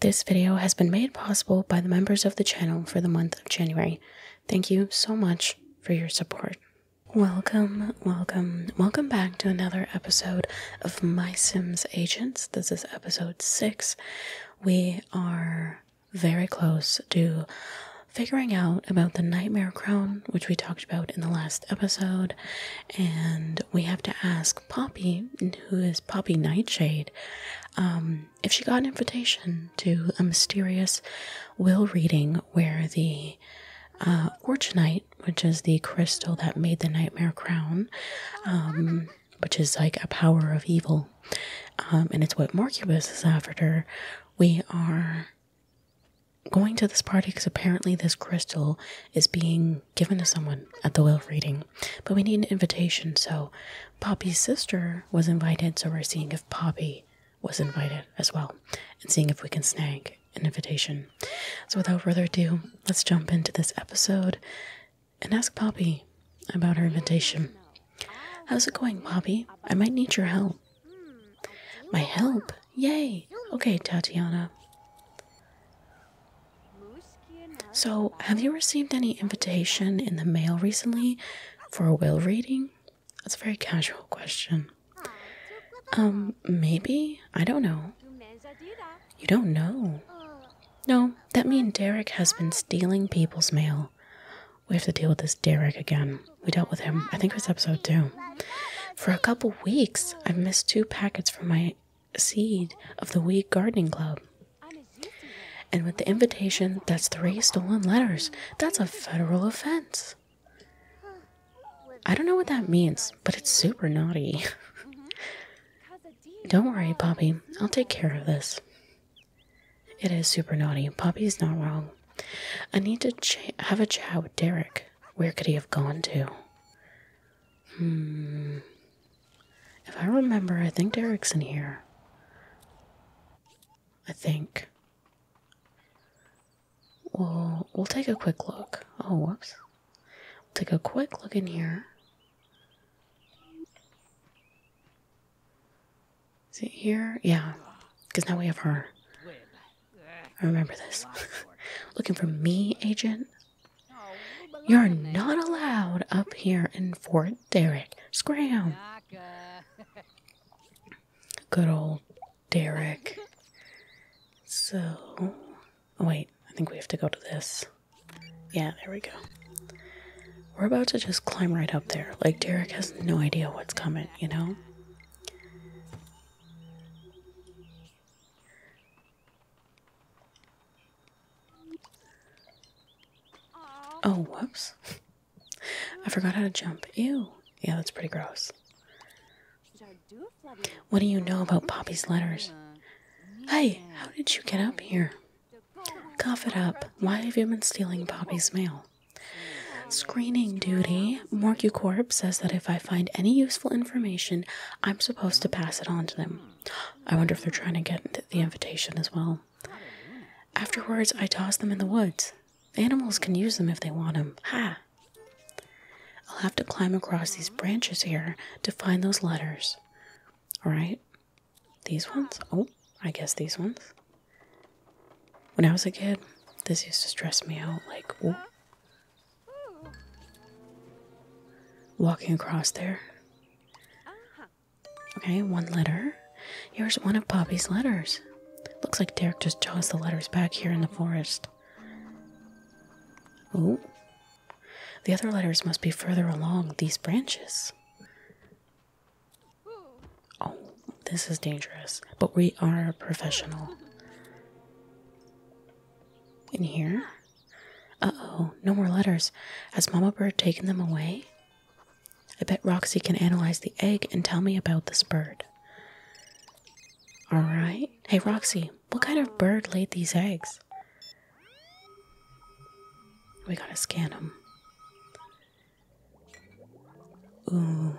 This video has been made possible by the members of the channel for the month of January. Thank you so much for your support. Welcome, welcome, welcome back to another episode of My Sims Agents. This is episode 6. We are very close to figuring out about the Nightmare Crown, which we talked about in the last episode, and we have to ask Poppy, who is Poppy Nightshade, um, if she got an invitation to a mysterious will reading where the uh, Orchinite, which is the crystal that made the Nightmare Crown, um, which is like a power of evil, um, and it's what Marcubus is after, we are going to this party because apparently this crystal is being given to someone at the will reading. But we need an invitation, so Poppy's sister was invited, so we're seeing if Poppy was invited as well and seeing if we can snag an invitation. So without further ado, let's jump into this episode and ask Poppy about her invitation. How's it going, Poppy? I might need your help. My help? Yay! Okay, Tatiana. So, have you received any invitation in the mail recently for a will reading? That's a very casual question. Um, maybe? I don't know. You don't know. No, that means Derek has been stealing people's mail. We have to deal with this Derek again. We dealt with him, I think it was episode two. For a couple weeks, I've missed two packets from my seed of the Weed Gardening Club. And with the invitation that's three stolen letters, that's a federal offense. I don't know what that means, but it's super naughty. don't worry, Bobby. I'll take care of this. It is super naughty. Bobby's not wrong. I need to have a chat with Derek. Where could he have gone to? Hmm. If I remember, I think Derek's in here. I think. We'll, we'll take a quick look. Oh, whoops. We'll take a quick look in here. Is it here? Yeah, because now we have her. I remember this. Looking for me, agent? You're not allowed up here in Fort Derrick. Scram! Good old Derrick. So, oh, wait, I think we have to go to this. Yeah, there we go. We're about to just climb right up there. Like, Derek has no idea what's coming, you know? Oh, whoops. I forgot how to jump. Ew. Yeah, that's pretty gross. What do you know about Poppy's letters? Hey, how did you get up here? Cough it up. Why have you been stealing Poppy's mail? Screening duty. MorcuCorp says that if I find any useful information, I'm supposed to pass it on to them. I wonder if they're trying to get the invitation as well. Afterwards, I toss them in the woods. Animals can use them if they want them. Ha! I'll have to climb across these branches here to find those letters. Alright? These ones? Oh, I guess these ones. When I was a kid, this used to stress me out. Like, Walking across there. Okay, one letter. Here's one of Poppy's letters. Looks like Derek just tossed the letters back here in the forest. Oh. The other letters must be further along these branches. Oh, this is dangerous, but we are professional. In here? Uh oh, no more letters. Has Mama Bird taken them away? I bet Roxy can analyze the egg and tell me about this bird. Alright. Hey, Roxy, what kind of bird laid these eggs? We gotta scan them. Ooh.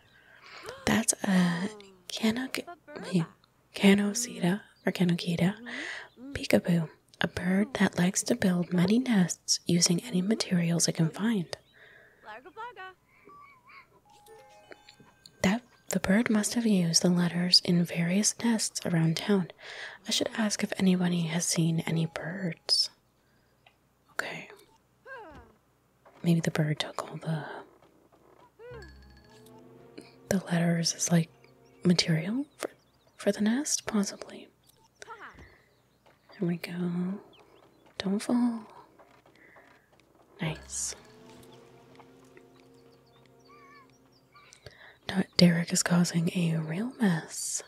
That's a cano, Canocida or Canocida peekaboo, a bird that likes to build many nests using any materials it can find. That the bird must have used the letters in various nests around town. I should ask if anybody has seen any birds. Okay. Maybe the bird took all the the letters as like material for for the nest, possibly. There we go. Don't fall. Nice. Derek is causing a real mess.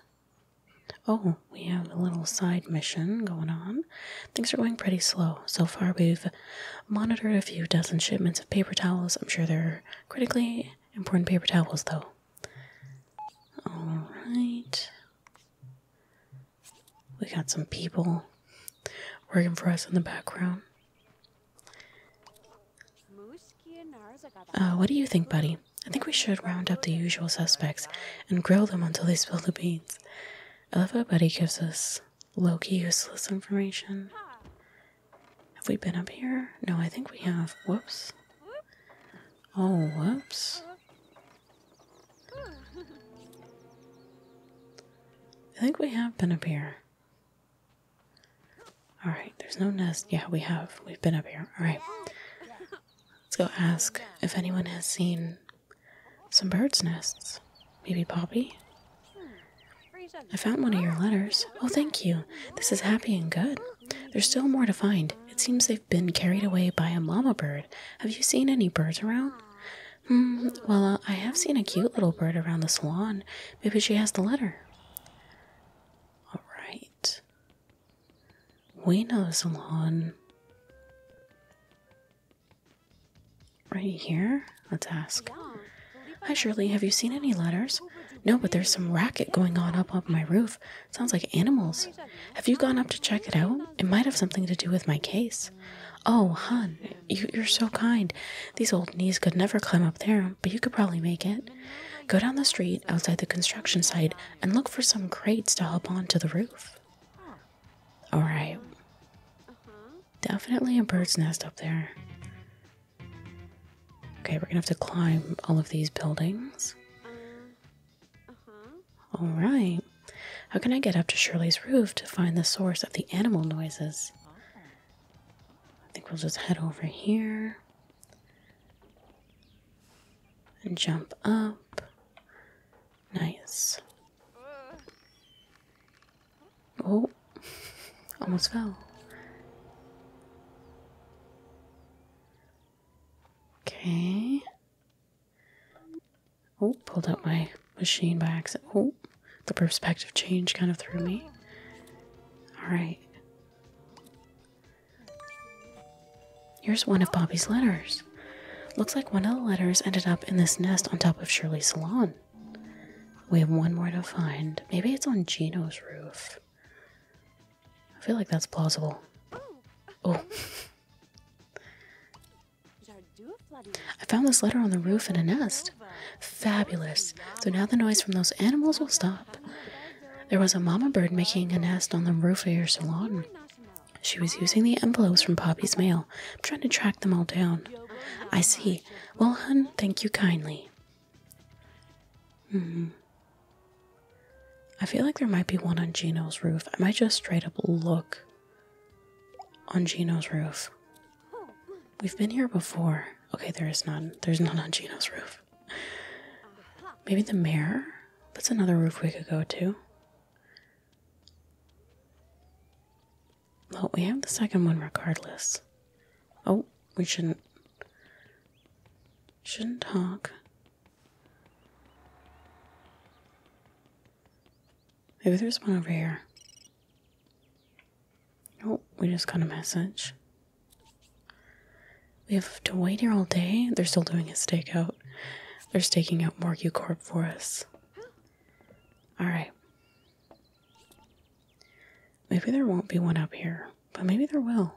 Oh, we have a little side mission going on. Things are going pretty slow. So far, we've monitored a few dozen shipments of paper towels. I'm sure they're critically important paper towels, though. Alright. We got some people working for us in the background. Uh, what do you think, buddy? I think we should round up the usual suspects and grill them until they spill the beans. I love how Buddy gives us low-key useless information. Have we been up here? No, I think we have. Whoops. Oh, whoops. I think we have been up here. Alright, there's no nest. Yeah, we have. We've been up here. Alright. Let's go ask if anyone has seen some birds' nests. Maybe Poppy? I found one of your letters. Oh, thank you. This is happy and good. There's still more to find. It seems they've been carried away by a mama bird. Have you seen any birds around? Hmm, well, uh, I have seen a cute little bird around the swan. Maybe she has the letter. All right. We know the salon. Right here? Let's ask. Hi, Shirley. Have you seen any letters? No, but there's some racket going on up on my roof. sounds like animals. Have you gone up to check it out? It might have something to do with my case. Oh, hun, you, you're so kind. These old knees could never climb up there, but you could probably make it. Go down the street outside the construction site and look for some crates to hop onto the roof. All right. Definitely a bird's nest up there. Okay, we're gonna have to climb all of these buildings. All right. How can I get up to Shirley's roof to find the source of the animal noises? I think we'll just head over here and jump up. Nice. Oh, almost fell. Okay. Oh, pulled out my machine by accident. Oh, the perspective change kind of threw me. Alright. Here's one of Bobby's letters. Looks like one of the letters ended up in this nest on top of Shirley's salon. We have one more to find. Maybe it's on Gino's roof. I feel like that's plausible. Oh. I found this letter on the roof in a nest. Fabulous. So now the noise from those animals will stop. There was a mama bird making a nest on the roof of your salon. She was using the envelopes from Poppy's mail. I'm trying to track them all down. I see. Well, hun, thank you kindly. Hmm. I feel like there might be one on Gino's roof. I might just straight up look on Gino's roof. We've been here before. Okay, there is none. There's none on Gino's roof. Maybe the mayor? That's another roof we could go to. Well, we have the second one regardless. Oh, we shouldn't. Shouldn't talk. Maybe there's one over here. Oh, we just got a message. We have to wait here all day. They're still doing a stakeout. They're staking out more U Corp for us. All right. Maybe there won't be one up here, but maybe there will.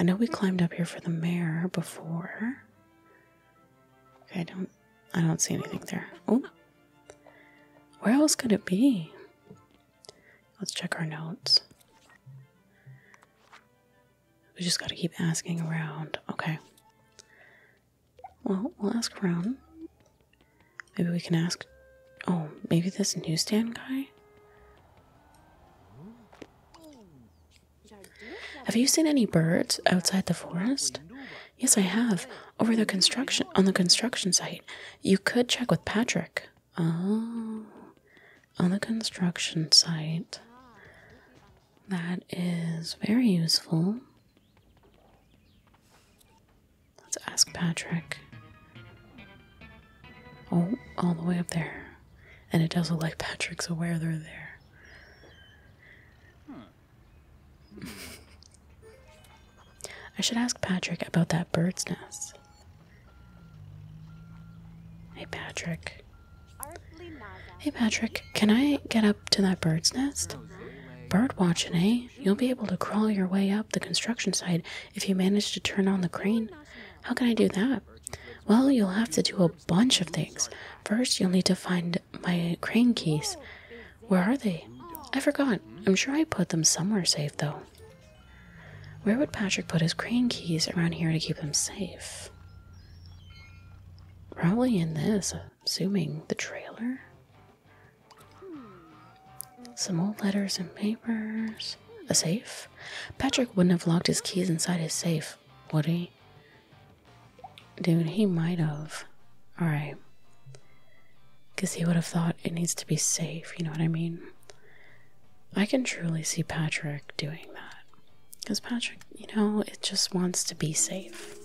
I know we climbed up here for the mare before. Okay, I don't I don't see anything there. Oh. Where else could it be? Let's check our notes. We just gotta keep asking around. Okay. Well, we'll ask around. Maybe we can ask. Oh, maybe this newsstand guy? Have you seen any birds outside the forest? Yes, I have. Over the construction on the construction site. You could check with Patrick. Oh, on the construction site. That is very useful. Let's ask Patrick. Oh, all the way up there. And it does look like Patrick's aware they're there. I should ask Patrick about that bird's nest. Hey, Patrick. Hey Patrick, can I get up to that bird's nest? Bird watching, eh? You'll be able to crawl your way up the construction site if you manage to turn on the crane. How can I do that? Well, you'll have to do a bunch of things. First, you'll need to find my crane keys. Where are they? I forgot. I'm sure I put them somewhere safe, though. Where would Patrick put his crane keys around here to keep them safe? Probably in this. Zooming the trailer. Some old letters and papers. A safe? Patrick wouldn't have locked his keys inside his safe, would he? Dude, he might have. Alright. Because he would have thought it needs to be safe, you know what I mean? I can truly see Patrick doing that. Because Patrick, you know, it just wants to be safe.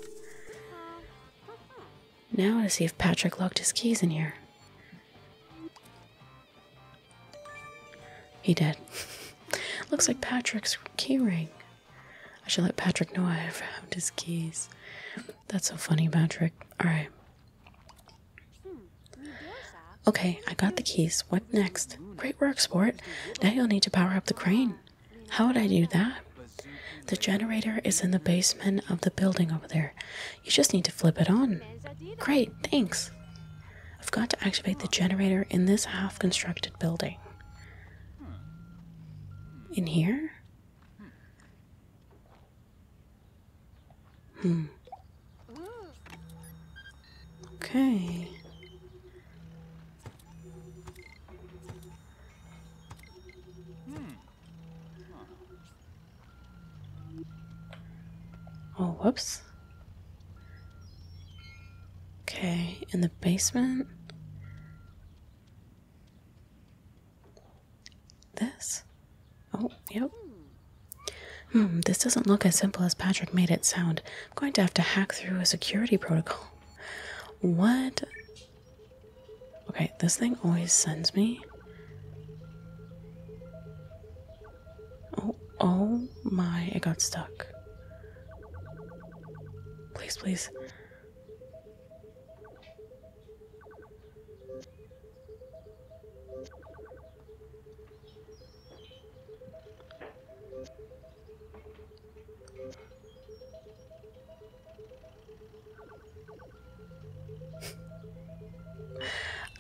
Now to see if Patrick locked his keys in here. He did. Looks like Patrick's keyring. I should let Patrick know I have found his keys. That's so funny, Patrick. Alright. Okay, I got the keys. What next? Great work, sport. Now you'll need to power up the crane. How would I do that? The generator is in the basement of the building over there. You just need to flip it on. Great, thanks. I've got to activate the generator in this half constructed building. In here? Hmm. Okay. Hmm. Oh, whoops. Okay, in the basement. This? Oh, yep. Hmm, this doesn't look as simple as Patrick made it sound. I'm going to have to hack through a security protocol. What? Okay, this thing always sends me. Oh, oh my, it got stuck. Please, please.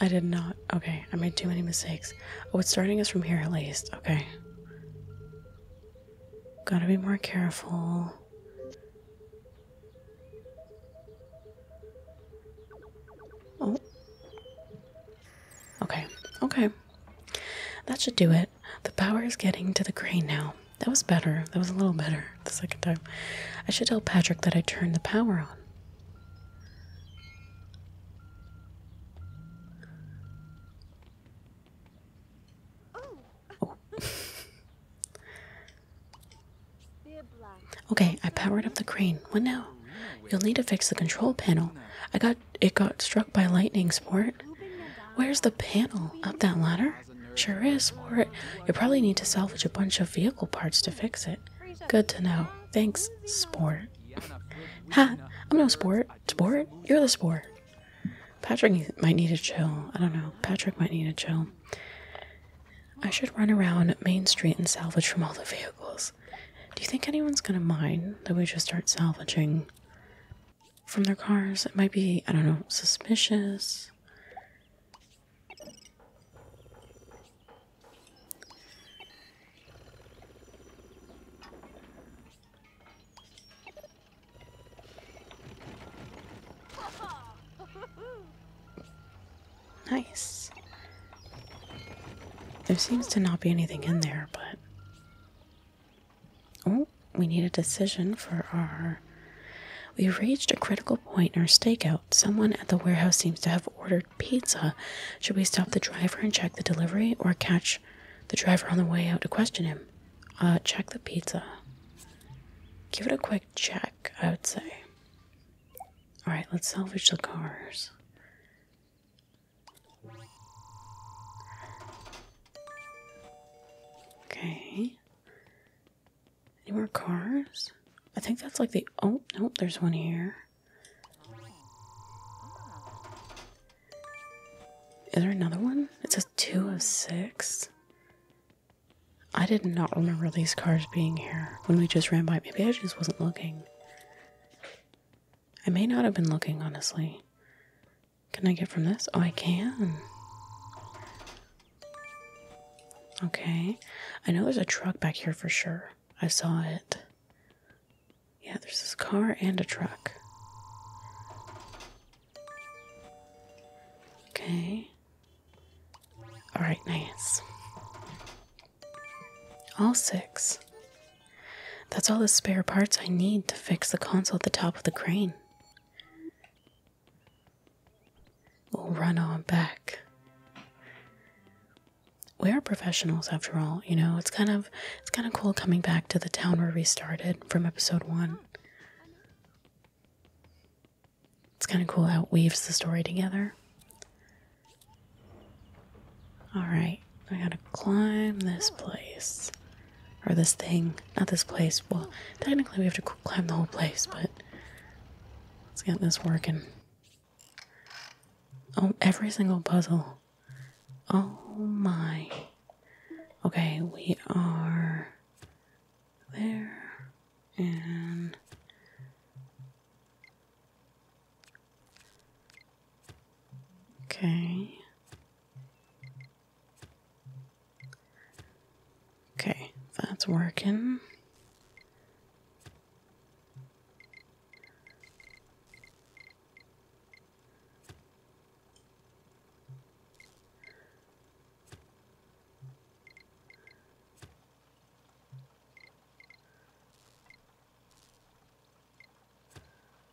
I did not. Okay, I made too many mistakes. Oh, starting us from here at least. Okay. Gotta be more careful. Oh. Okay, okay. That should do it the power is getting to the crane now. That was better. That was a little better the second time. I should tell Patrick that I turned the power on. Oh. okay, I powered up the crane. What now? You'll need to fix the control panel. I got it got struck by lightning, sport. Where's the panel? Up that ladder? Sure is, sport. You'll probably need to salvage a bunch of vehicle parts to fix it. Good to know. Thanks, sport. ha! I'm no sport. Sport? You're the sport. Patrick might need a chill. I don't know. Patrick might need a chill. I should run around Main Street and salvage from all the vehicles. Do you think anyone's gonna mind that we just start salvaging from their cars. It might be, I don't know, suspicious. Nice. There seems to not be anything in there, but Oh, we need a decision for our. We've reached a critical point in our stakeout. Someone at the warehouse seems to have ordered pizza. Should we stop the driver and check the delivery or catch the driver on the way out to question him? Uh, check the pizza. Give it a quick check, I would say. Alright, let's salvage the cars. Okay. Any more cars? I think that's like the. Oh, no, there's one here. Is there another one? It says two of six. I did not remember these cars being here when we just ran by. Maybe I just wasn't looking. I may not have been looking, honestly. Can I get from this? Oh, I can. Okay. I know there's a truck back here for sure. I saw it. Yeah, there's this car and a truck. Okay. Alright, nice. All six. That's all the spare parts I need to fix the console at the top of the crane. We'll run on back. We are professionals after all, you know. It's kind of it's kind of cool coming back to the town where we started from episode 1. It's kind of cool how it weaves the story together. All right, I gotta climb this place or this thing, not this place. Well, technically we have to climb the whole place, but let's get this working. Oh, every single puzzle. Oh my. Okay, we are there okay. Okay, that's working.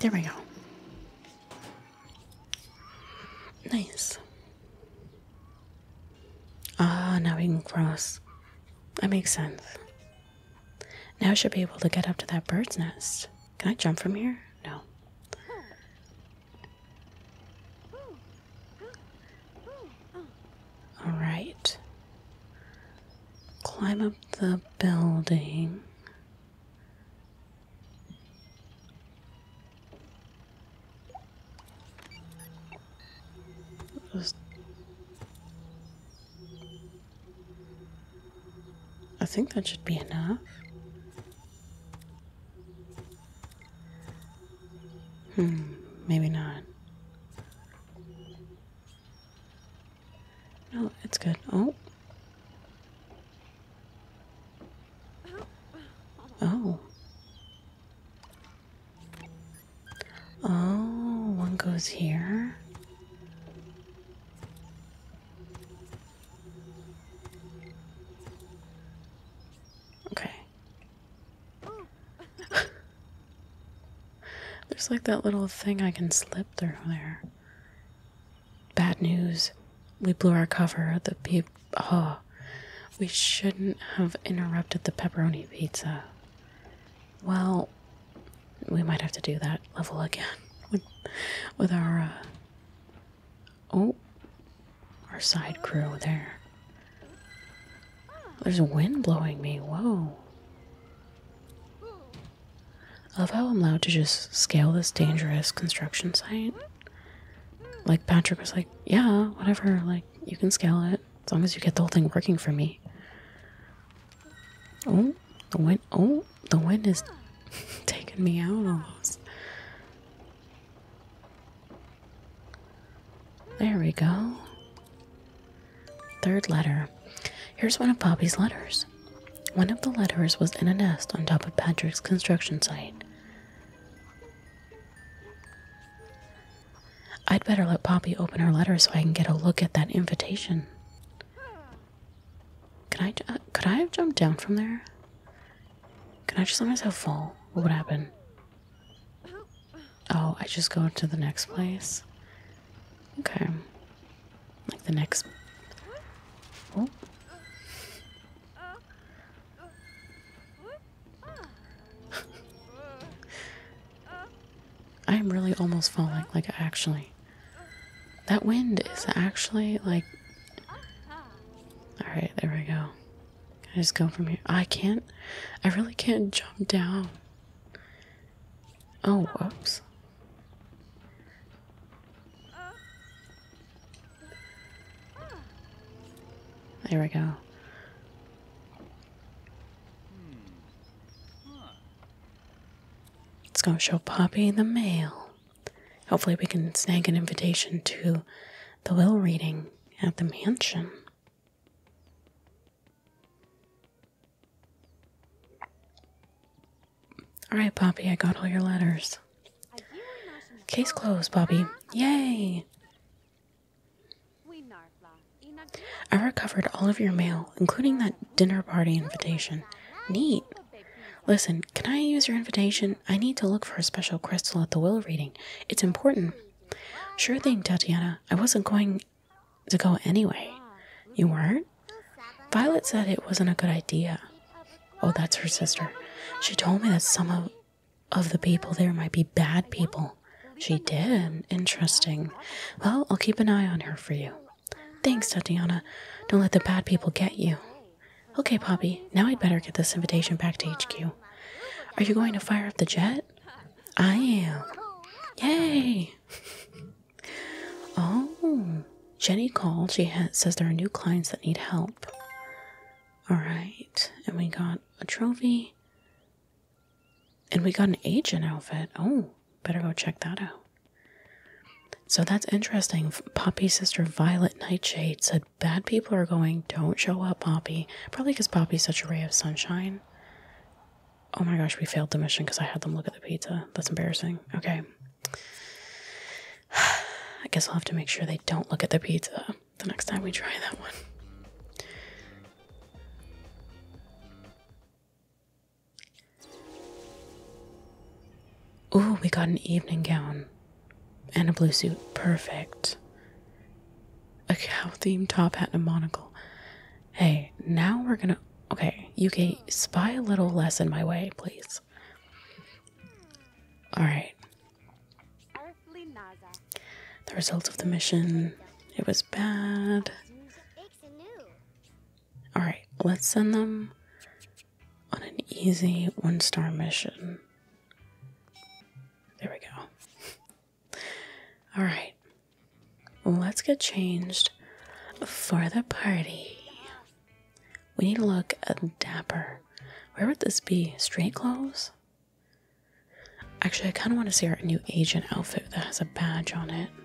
There we go. Nice. Ah, now we can cross. That makes sense. Now I should be able to get up to that bird's nest. Can I jump from here? No. All right. Climb up the building. I think that should be enough. Hmm, maybe not. No, it's good. Oh. Oh. Oh, one goes here. Okay. There's like that little thing I can slip through there. Bad news. We blew our cover. The pe- oh, we shouldn't have interrupted the pepperoni pizza. Well, we might have to do that level again with, with our uh, oh, our side crew there. There's a wind blowing me. Whoa. I love how I'm allowed to just scale this dangerous construction site. Like, Patrick was like, yeah, whatever. Like, you can scale it as long as you get the whole thing working for me. Oh, the wind. Oh, the wind is taking me out almost. There we go. Third letter. Here's one of Poppy's letters. One of the letters was in a nest on top of Patrick's construction site. I'd better let Poppy open her letter so I can get a look at that invitation. Can I, could I have jumped down from there? Can I just let myself fall? What would happen? Oh, I just go to the next place. Okay. Like the next. Oh. I'm really almost falling. Like, actually. That wind is actually like. Alright, there we go. I just go from here. I can't. I really can't jump down. Oh, whoops. There we go. Let's go show Poppy the mail. Hopefully we can snag an invitation to the will reading at the mansion. All right, Poppy, I got all your letters. Case closed, Bobby. Yay! I recovered all of your mail, including that dinner party invitation. Neat. Listen, can I use your invitation? I need to look for a special crystal at the will reading. It's important. Sure thing, Tatiana. I wasn't going to go anyway. You weren't? Violet said it wasn't a good idea. Oh, that's her sister. She told me that some of, of the people there might be bad people. She did. Interesting. Well, I'll keep an eye on her for you. Thanks, Tatiana. Don't let the bad people get you. Okay, Poppy, now I'd better get this invitation back to HQ. Are you going to fire up the jet? I am. Yay! oh, Jenny called. She says there are new clients that need help. Alright, and we got a trophy. And we got an agent outfit. Oh, better go check that out. So that's interesting. Poppy, sister Violet Nightshade said, Bad people are going, don't show up, Poppy. Probably because Poppy's such a ray of sunshine. Oh my gosh, we failed the mission because I had them look at the pizza. That's embarrassing. Okay. I guess I'll have to make sure they don't look at the pizza the next time we try that one. Ooh, we got an evening gown and a blue suit. Perfect. A cow themed top hat and a monocle. Hey, now we're gonna. Okay, you can spy a little less in my way, please. Alright. The results of the mission. It was bad. Alright, let's send them on an easy one star mission. There we go. All right, let's get changed for the party. We need to look dapper. Where would this be? Street clothes? Actually, I kind of want to see our new agent outfit that has a badge on it.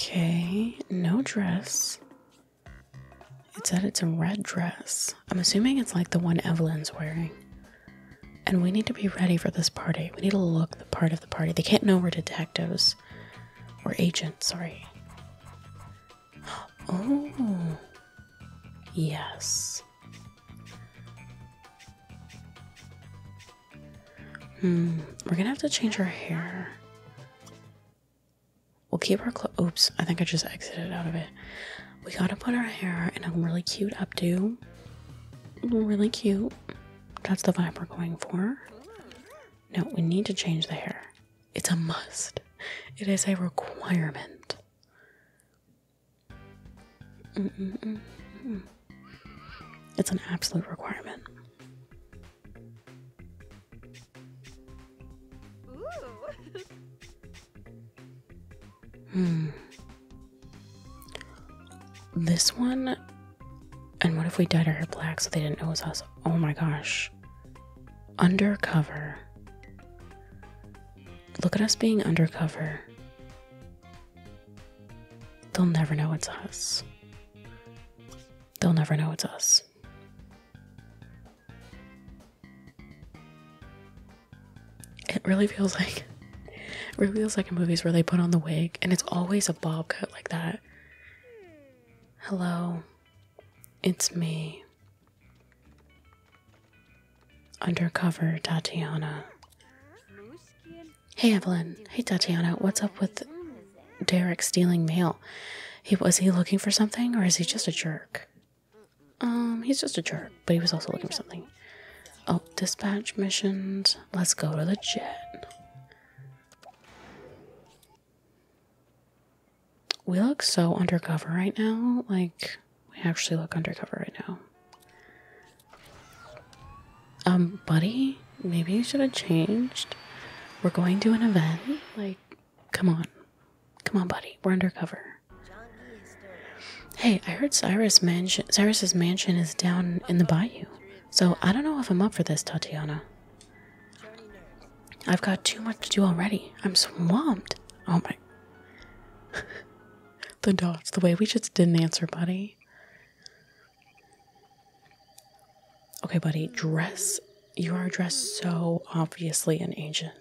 Okay, no dress. It said it's a red dress. I'm assuming it's like the one Evelyn's wearing. And we need to be ready for this party. We need to look the part of the party. They can't know we're detectives or agents, sorry. Oh, yes. Hmm, we're gonna have to change our hair. We'll keep our clothes. Oops, I think I just exited out of it. We gotta put our hair in a really cute updo. Really cute. That's the vibe we're going for. No, we need to change the hair. It's a must. It is a requirement. It's an absolute requirement. Hmm. This one. And what if we dyed our hair black so they didn't know it was us? Oh my gosh. Undercover. Look at us being undercover. They'll never know it's us. They'll never know it's us. It really feels like it really feels like in movies where they put on the wig and it's always a bob cut like that. Hello. It's me. Undercover Tatiana. Hey Evelyn. Hey Tatiana. What's up with Derek stealing mail? was he looking for something or is he just a jerk? Um, he's just a jerk, but he was also looking for something. Oh, dispatch missions. Let's go to the jet. We look so undercover right now. Like, we actually look undercover right now. Um, buddy, maybe you should have changed. We're going to an event. Like, come on. Come on, buddy. We're undercover. Hey, I heard Cyrus mansion Cyrus's mansion is down in the bayou. So I don't know if I'm up for this, Tatiana. I've got too much to do already. I'm swamped. Oh my The dots, the way we just didn't answer, buddy. Okay, buddy, dress you are dressed so obviously an agent.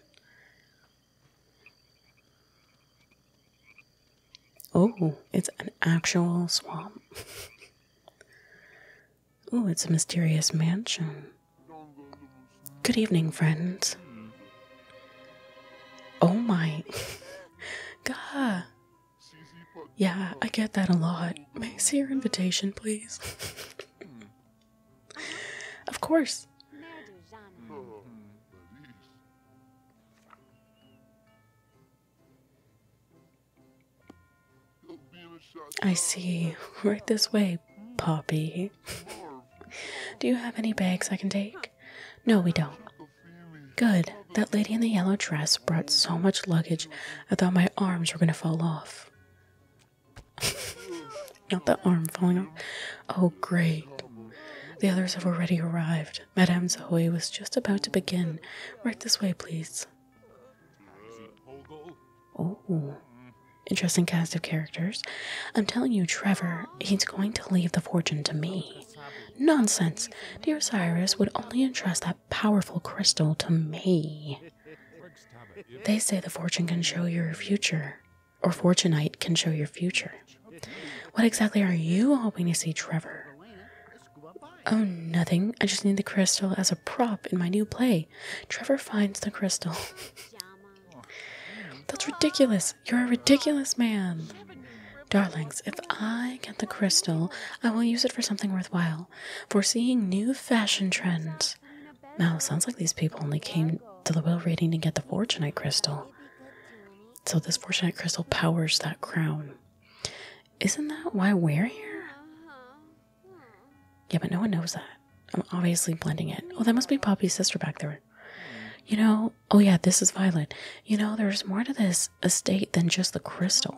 Oh, it's an actual swamp. oh, it's a mysterious mansion. Good evening, friends. Oh my. God. Yeah, I get that a lot. May I see your invitation, please? Of course. I see. Right this way, Poppy. Do you have any bags I can take? No, we don't. Good. That lady in the yellow dress brought so much luggage I thought my arms were going to fall off. Not the arm falling off. Oh, great. The others have already arrived. Madame Zahoy was just about to begin. Right this way, please. Oh. Interesting cast of characters. I'm telling you, Trevor, he's going to leave the fortune to me. Nonsense! Dear Cyrus would only entrust that powerful crystal to me. They say the fortune can show your future or fortunite can show your future. What exactly are you hoping to see, Trevor? Oh, nothing. I just need the crystal as a prop in my new play. Trevor finds the crystal. That's ridiculous. You're a ridiculous man. Darlings, if I get the crystal, I will use it for something worthwhile. for seeing new fashion trends. Now, sounds like these people only came to the will reading to get the fortunate crystal. So, this fortunate crystal powers that crown. Isn't that why we're here? Yeah, but no one knows that. I'm obviously blending it. Oh, that must be Poppy's sister back there. You know, oh yeah, this is Violet. You know, there's more to this estate than just the crystal.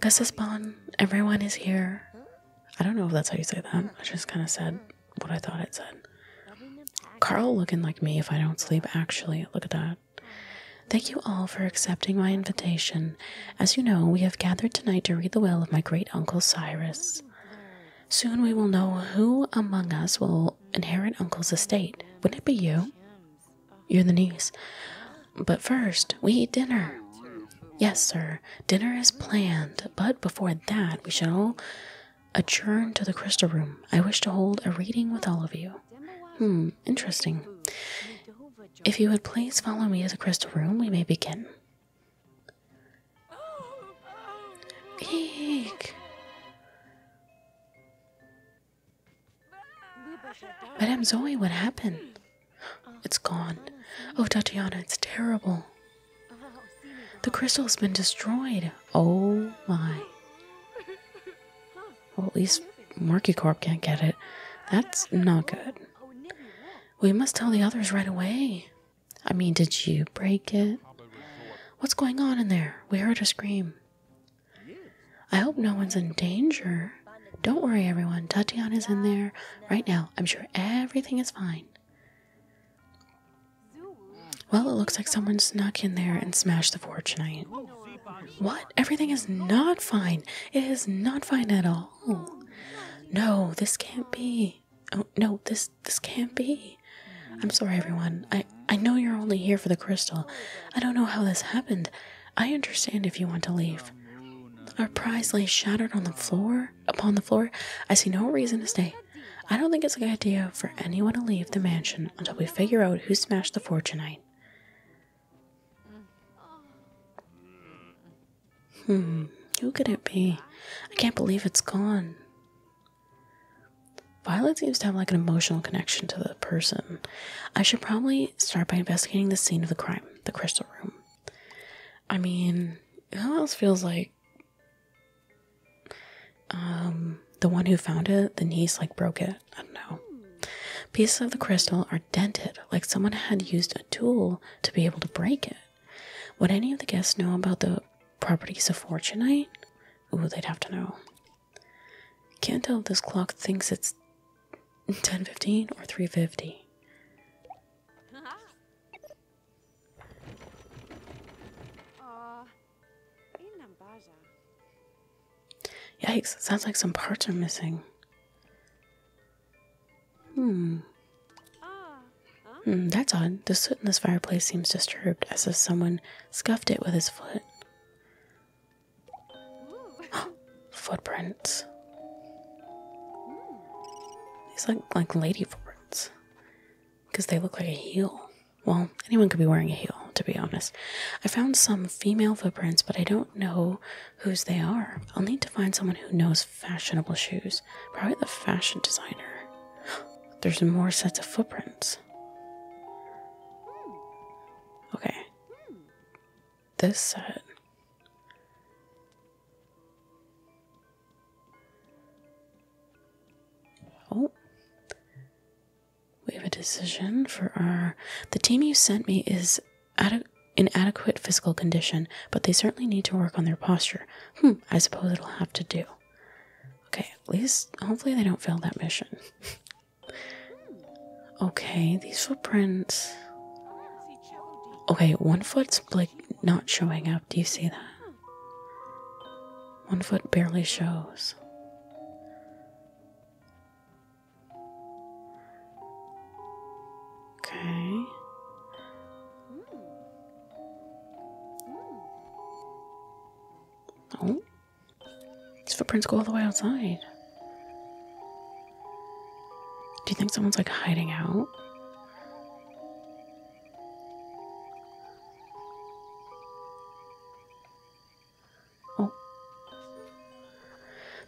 Gasispan, everyone is here. I don't know if that's how you say that. I just kind of said what I thought it said. Carl looking like me if I don't sleep, actually. Look at that. Thank you all for accepting my invitation. As you know, we have gathered tonight to read the will of my great uncle Cyrus. Soon we will know who among us will inherit Uncle's estate. Wouldn't it be you? You're the niece. But first, we eat dinner. Yes, sir. Dinner is planned, but before that, we should all adjourn to the crystal room. I wish to hold a reading with all of you. Hmm, interesting. If you would please follow me to the crystal room, we may begin. Eek. Madame Zoe, what happened? It's gone. Oh, Tatiana, it's terrible. The crystal's been destroyed. Oh my. Well, at least Corp can't get it. That's not good. We must tell the others right away. I mean, did you break it? What's going on in there? We heard a scream. I hope no one's in danger. Don't worry, everyone. is in there right now. I'm sure everything is fine. Well, it looks like someone snuck in there and smashed the tonight. What? Everything is not fine. It is not fine at all. No, this can't be. Oh no, this this can't be. I'm sorry everyone. I I know you're only here for the crystal. I don't know how this happened. I understand if you want to leave. Our prize lay shattered on the floor upon the floor. I see no reason to stay. I don't think it's a good idea for anyone to leave the mansion until we figure out who smashed the fortunite. Hmm, who could it be? I can't believe it's gone. Violet seems to have like an emotional connection to the person. I should probably start by investigating the scene of the crime, the crystal room. I mean, who else feels like um, the one who found it, the knees like broke it. I don't know. Pieces of the crystal are dented, like someone had used a tool to be able to break it. Would any of the guests know about the properties of Fortunite? Ooh, they'd have to know. Can't tell if this clock thinks it's 10:15 or 3:50. Yikes, sounds like some parts are missing. Hmm. Mm, that's odd. The soot in this fireplace seems disturbed, as if someone scuffed it with his foot. footprints. These like like lady footprints because they look like a heel. Well, anyone could be wearing a heel, to be honest. I found some female footprints, but I don't know whose they are. I'll need to find someone who knows fashionable shoes, probably the fashion designer. There's more sets of footprints. Okay. This set Oh. We have a decision for our. The team you sent me is ade in adequate physical condition, but they certainly need to work on their posture. Hmm, I suppose it'll have to do. Okay, at least hopefully they don't fail that mission. okay, these footprints. Okay, one foot's like not showing up. Do you see that? One foot barely shows. Okay. Oh, these footprints go all the way outside. Do you think someone's like hiding out? Oh.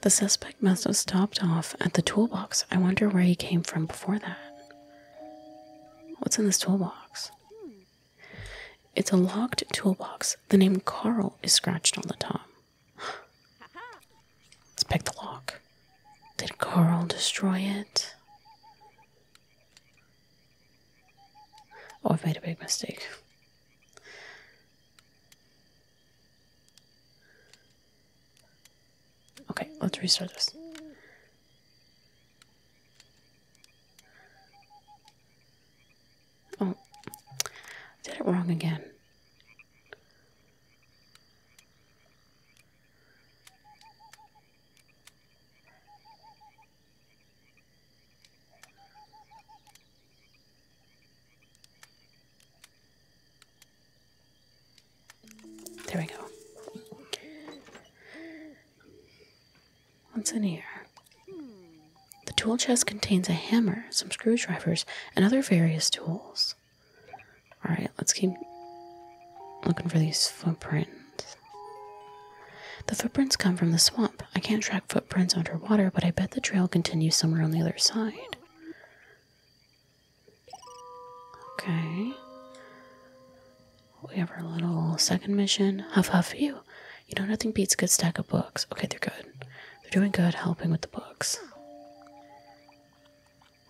The suspect must have stopped off at the toolbox. I wonder where he came from before that. What's in this toolbox? It's a locked toolbox. The name Carl is scratched on the top. Let's pick the lock. Did Carl destroy it? Oh, I've made a big mistake. Okay, let's restart this. Oh, did it wrong again. There we go. What's in here? The tool chest contains a hammer, some screwdrivers, and other various tools. Alright, let's keep looking for these footprints. The footprints come from the swamp. I can't track footprints underwater, but I bet the trail continues somewhere on the other side. Okay. We have our little second mission. Huff huff you. You know nothing beats good stack of books. Okay, they're good. They're doing good helping with the books.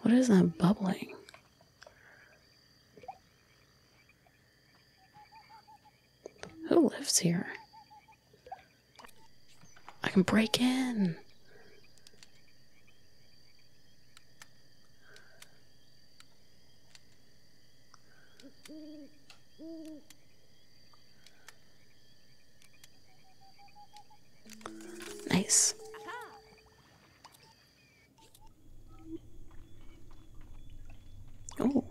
What is that bubbling? Who lives here? I can break in. Nice. Oh.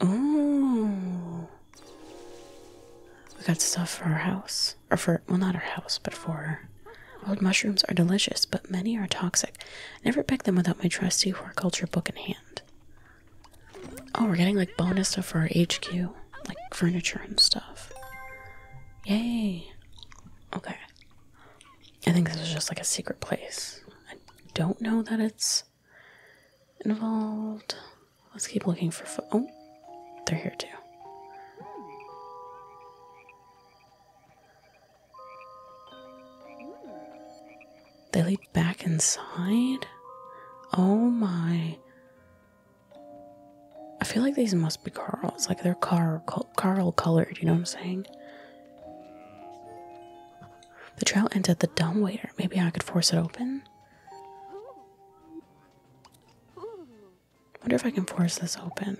Oh. We got stuff for our house. Or for, well, not our house, but for. Old mushrooms are delicious, but many are toxic. never pick them without my trusty horticulture book in hand. Oh, we're getting like bonus stuff for our HQ, like furniture and stuff. Yay. Okay. I think this is just like a secret place. I don't know that it's involved. Let's keep looking for fo- Oh, they're here too. They lead back inside? Oh my. I feel like these must be Carl's, like they're Carl, Carl colored, you know what I'm saying? The trail ends at the dumbwaiter. Maybe I could force it open. Wonder if I can force this open.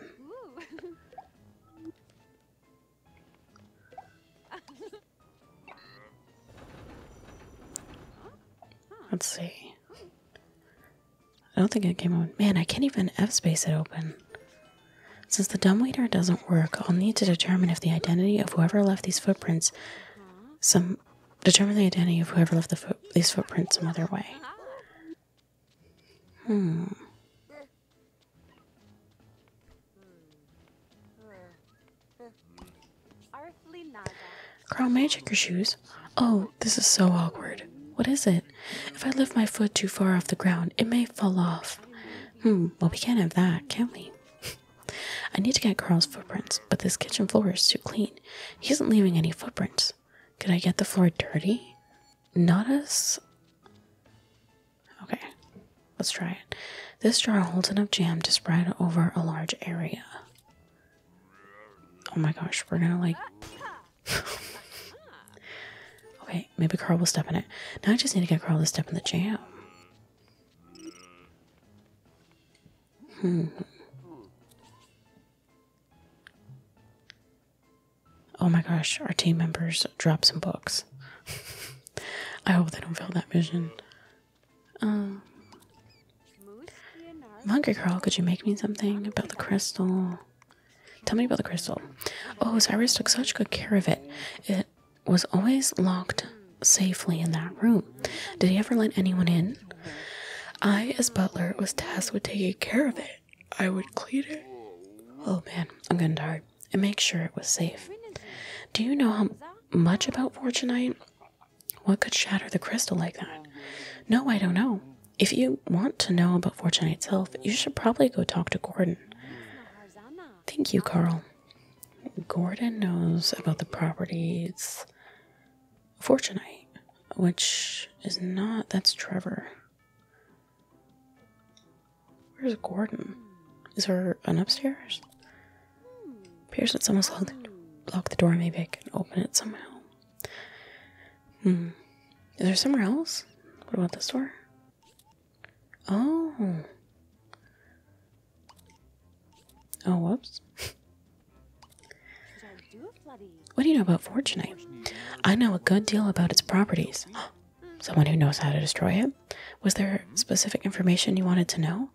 Let's see. I don't think it came on. Man, I can't even F space it open. Since the dumbwaiter doesn't work, I'll need to determine if the identity of whoever left these footprints some determine the identity of whoever left the foot, these footprints some other way. Hmm. Carl may I check your shoes? Oh, this is so awkward. What is it? If I lift my foot too far off the ground, it may fall off. Hmm, well, we can't have that, can we? I need to get Carl's footprints, but this kitchen floor is too clean. He isn't leaving any footprints. Could I get the floor dirty? Not us. Okay, let's try it. This jar holds enough jam to spread over a large area. Oh my gosh, we're gonna like. okay, maybe Carl will step in it. Now I just need to get Carl to step in the jam. Hmm. Oh my gosh, our team members drop some books. I hope they don't fail that vision. Um, I'm hungry, girl. Could you make me something about the crystal? Tell me about the crystal. Oh, Cyrus took such good care of it. It was always locked safely in that room. Did he ever let anyone in? I, as butler, was tasked with taking care of it. I would clean it. Oh man, I'm gonna tired. And make sure it was safe. Do you know how much about Fortunite? What could shatter the crystal like that? No, I don't know. If you want to know about fortune itself, you should probably go talk to Gordon. Thank you, Carl. Gordon knows about the properties Fortunite, which is not that's Trevor. Where's Gordon? Is there an upstairs? Appears that someone's locked, locked the door, maybe I can open it somehow. Hmm. Is there somewhere else? What about the store? Oh. Oh, whoops. what do you know about Fortunite? I know a good deal about its properties. Someone who knows how to destroy it? Was there specific information you wanted to know?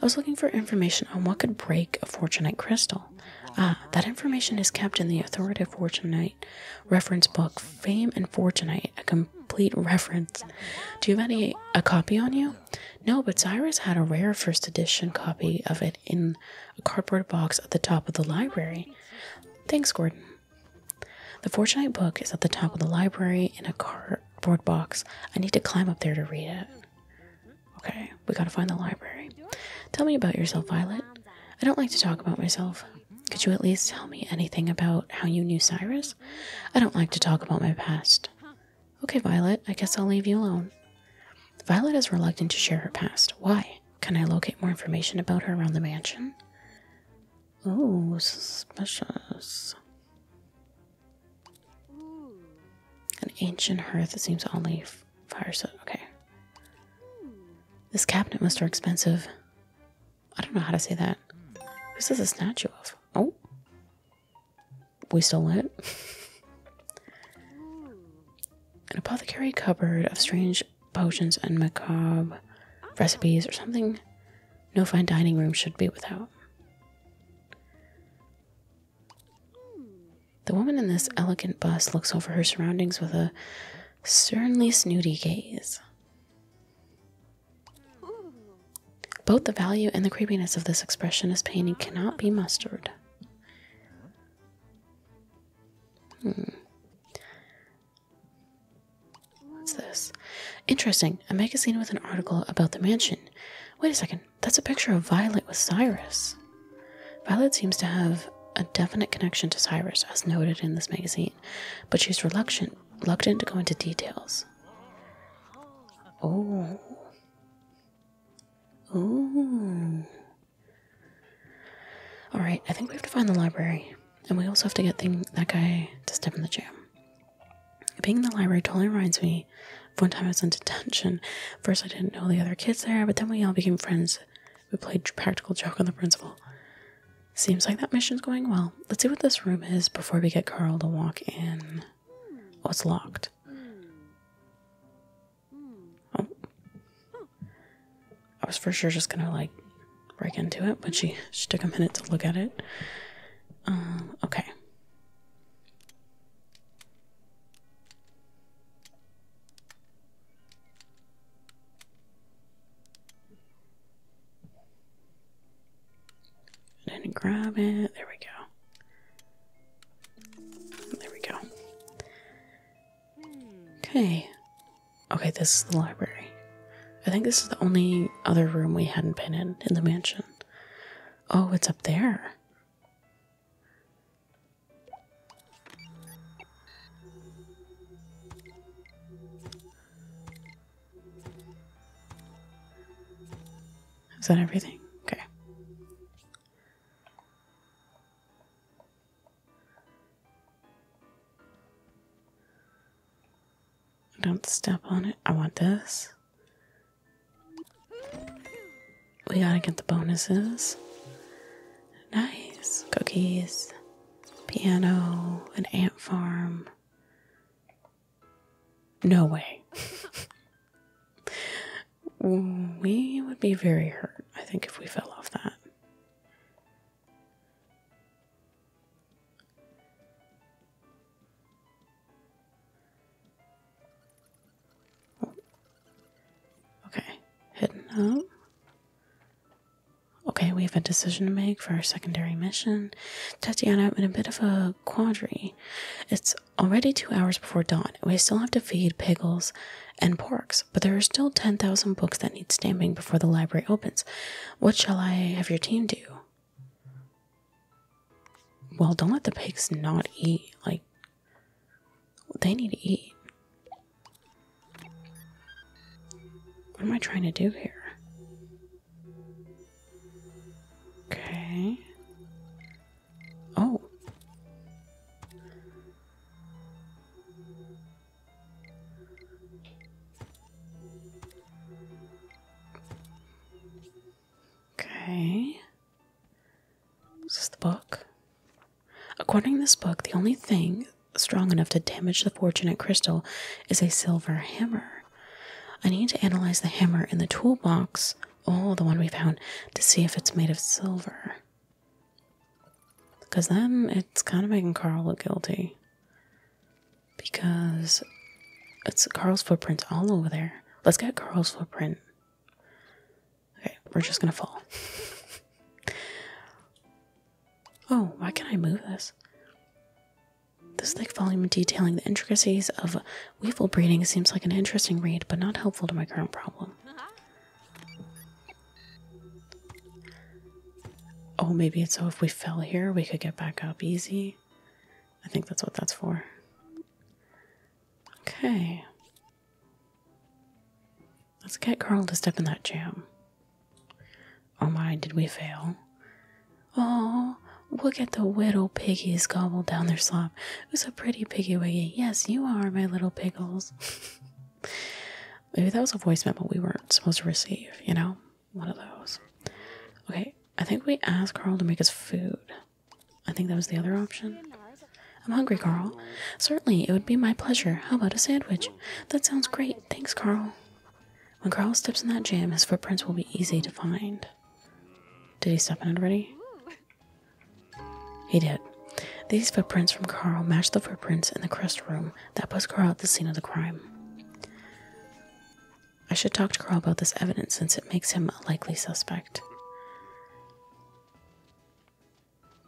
I was looking for information on what could break a Fortunite crystal. Ah, that information is kept in the authoritative Fortunite reference book, Fame and Fortunite, a complete reference. Do you have any a copy on you? No, but Cyrus had a rare first edition copy of it in a cardboard box at the top of the library. Thanks, Gordon. The Fortunite book is at the top of the library in a cardboard box. I need to climb up there to read it. Okay, we gotta find the library. Tell me about yourself, Violet. I don't like to talk about myself. Could you at least tell me anything about how you knew Cyrus? I don't like to talk about my past. Okay, Violet, I guess I'll leave you alone. Violet is reluctant to share her past. Why? Can I locate more information about her around the mansion? Oh, suspicious. An ancient hearth that seems only fire set. Okay. This cabinet must are expensive. I don't know how to say that. Who's this a statue of? Oh. We stole it. An apothecary cupboard of strange potions and macabre recipes or something no fine dining room should be without. The woman in this elegant bust looks over her surroundings with a sternly snooty gaze. Both the value and the creepiness of this expressionist painting cannot be mustered. Hmm. What's this? Interesting. A magazine with an article about the mansion. Wait a second. That's a picture of Violet with Cyrus. Violet seems to have a definite connection to Cyrus, as noted in this magazine, but she's reluctant, reluctant to go into details. Oh. Ooh. Alright, I think we have to find the library. And we also have to get that guy to step in the jam. Being in the library totally reminds me of one time I was in detention. First, I didn't know the other kids there, but then we all became friends we played practical joke on the principal. Seems like that mission's going well. Let's see what this room is before we get Carl to walk in. Oh, it's locked. Oh. I was for sure just gonna like break into it, but she, she took a minute to look at it. Uh, okay. Then grab it. There we go. There we go. Okay. Okay, this is the library. I think this is the only other room we hadn't been in in the mansion. Oh, it's up there. Is that everything? Okay. Don't step on it. I want this. We gotta get the bonuses. Nice. Cookies, piano, an ant farm. No way. we would be very hurt, I think, if we fell off that. Okay, hidden up. Okay, we have a decision to make for our secondary mission. Tatiana, I'm in a bit of a quandary. It's already two hours before dawn. We still have to feed piggles and porks, but there are still 10,000 books that need stamping before the library opens. What shall I have your team do? Well, don't let the pigs not eat. Like, they need to eat. What am I trying to do here? Okay. Oh. Okay. Is this the book? According to this book, the only thing strong enough to damage the fortunate crystal is a silver hammer. I need to analyze the hammer in the toolbox, oh, the one we found, to see if it's made of silver. Because then it's kind of making Carl look guilty. Because it's Carl's footprint all over there. Let's get Carl's footprint. Okay, we're just gonna fall. oh, why can not I move this? This thick volume detailing the intricacies of weevil breeding seems like an interesting read, but not helpful to my current problem. Oh, maybe it's so if we fell here, we could get back up easy. I think that's what that's for. Okay. Let's get Carl to step in that jam. Oh my, did we fail? Oh, look at the little piggies gobbled down their slop. Who's a pretty piggy wiggy? Yes, you are, my little piggles. Maybe that was a voice memo we weren't supposed to receive, you know? One of those. Okay, I think we asked Carl to make us food. I think that was the other option. I'm hungry, Carl. Certainly, it would be my pleasure. How about a sandwich? That sounds great. Thanks, Carl. When Carl steps in that jam, his footprints will be easy to find. Did he step in already? He did. These footprints from Carl match the footprints in the crest room that puts Carl at the scene of the crime. I should talk to Carl about this evidence since it makes him a likely suspect.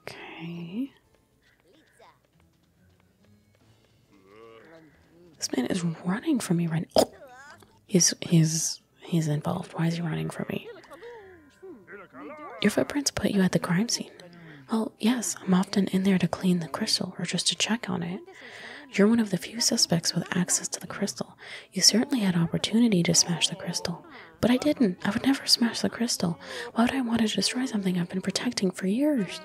Okay. This man is running from me right now. Oh! He's he's he's involved. Why is he running from me? Your footprints put you at the crime scene. Well, yes, I'm often in there to clean the crystal or just to check on it. You're one of the few suspects with access to the crystal. You certainly had opportunity to smash the crystal. But I didn't. I would never smash the crystal. Why would I want to destroy something I've been protecting for years?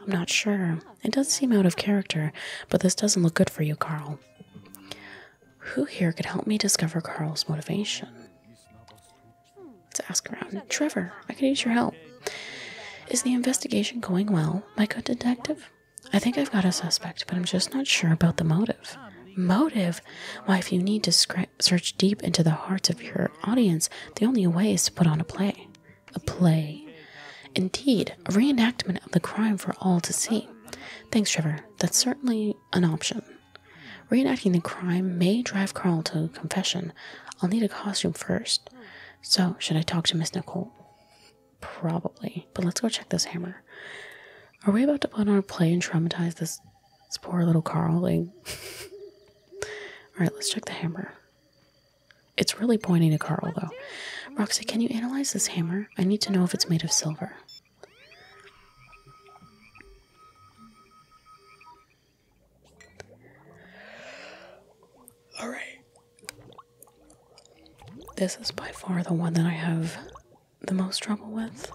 I'm not sure. It does seem out of character, but this doesn't look good for you, Carl. Who here could help me discover Carl's motivation? Let's ask around. Trevor, I could use your help. Is the investigation going well, my good detective? I think I've got a suspect, but I'm just not sure about the motive. Motive? Why, if you need to search deep into the hearts of your audience, the only way is to put on a play. A play. Indeed, a reenactment of the crime for all to see. Thanks, Trevor. That's certainly an option. Reenacting the crime may drive Carl to confession. I'll need a costume first. So, should I talk to Miss Nicole? Probably. But let's go check this hammer. Are we about to put on a play and traumatize this it's poor little Carl. all right, let's check the hammer. It's really pointing to Carl, though. Roxy, can you analyze this hammer? I need to know if it's made of silver. All right. This is by far the one that I have the most trouble with.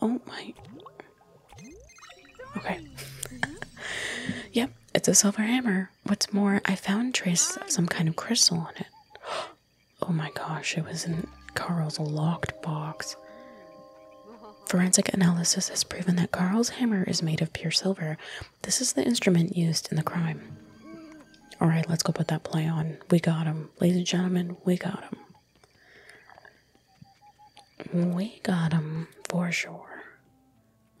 Oh my. Okay. yep, it's a silver hammer what's more, I found traces of some kind of crystal on it. Oh my gosh, it was in Carl's locked box. Forensic analysis has proven that Carl's hammer is made of pure silver. This is the instrument used in the crime. Alright, let's go put that play on. We got him. Ladies and gentlemen, we got him. We got him, for sure.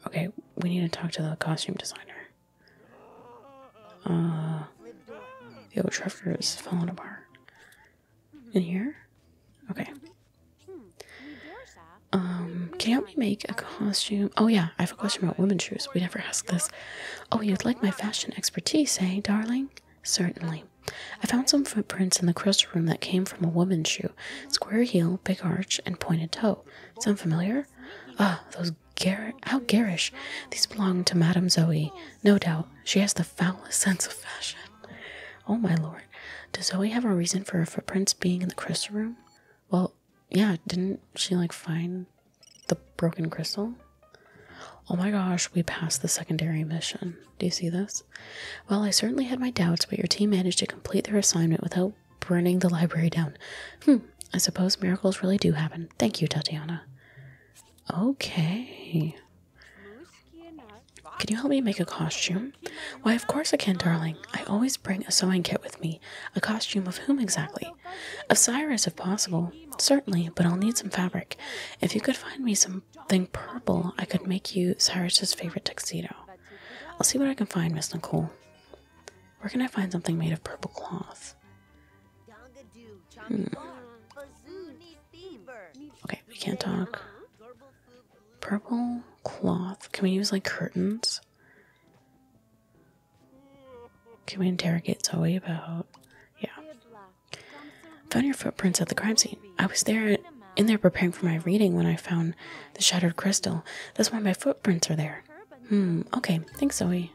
Okay, we need to talk to the costume designer. Uh, the old tractor is falling apart. In here? Okay. Um, can you help me make a costume? Oh yeah, I have a question about women's shoes. We never asked this. Oh, you'd like my fashion expertise, eh, darling? Certainly. I found some footprints in the crystal room that came from a woman's shoe. Square heel, big arch, and pointed toe. Sound familiar? Ah, those gar how garish! These belong to Madame Zoe, no doubt. She has the foulest sense of fashion. Oh my lord! Does Zoe have a reason for her footprints being in the crystal room? Well, yeah. Didn't she like find the broken crystal? Oh my gosh, we passed the secondary mission. Do you see this? Well, I certainly had my doubts, but your team managed to complete their assignment without burning the library down. Hmm, I suppose miracles really do happen. Thank you, Tatiana. Okay. Can you help me make a costume? Why, of course I can, darling. I always bring a sewing kit with me. A costume of whom exactly? Of Cyrus, if possible. Certainly, but I'll need some fabric. If you could find me something purple, I could make you Cyrus's favorite tuxedo. I'll see what I can find, Miss Nicole. Where can I find something made of purple cloth? Hmm. Okay, we can't talk. Purple cloth. Can we use like curtains? Can we interrogate Zoe about? Yeah. Found your footprints at the crime scene. I was there in there preparing for my reading when I found the shattered crystal. That's why my footprints are there. Hmm. Okay. Thanks, Zoe.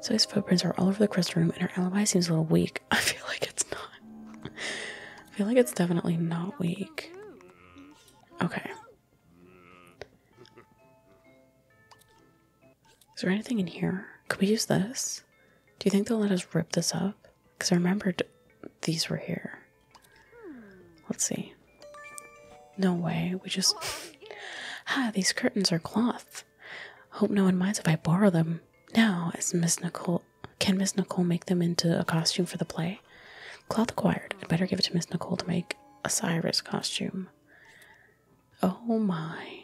So his footprints are all over the crystal room, and her alibi seems a little weak. I feel like it's not. I feel like it's definitely not weak. Okay. Is there anything in here? Could we use this? Do you think they'll let us rip this up? Because I remembered these were here. Let's see. No way. We just. ah, these curtains are cloth. Hope no one minds if I borrow them. Now, as Miss Nicole, can Miss Nicole make them into a costume for the play? Cloth acquired. I'd better give it to Miss Nicole to make a Cyrus costume. Oh my.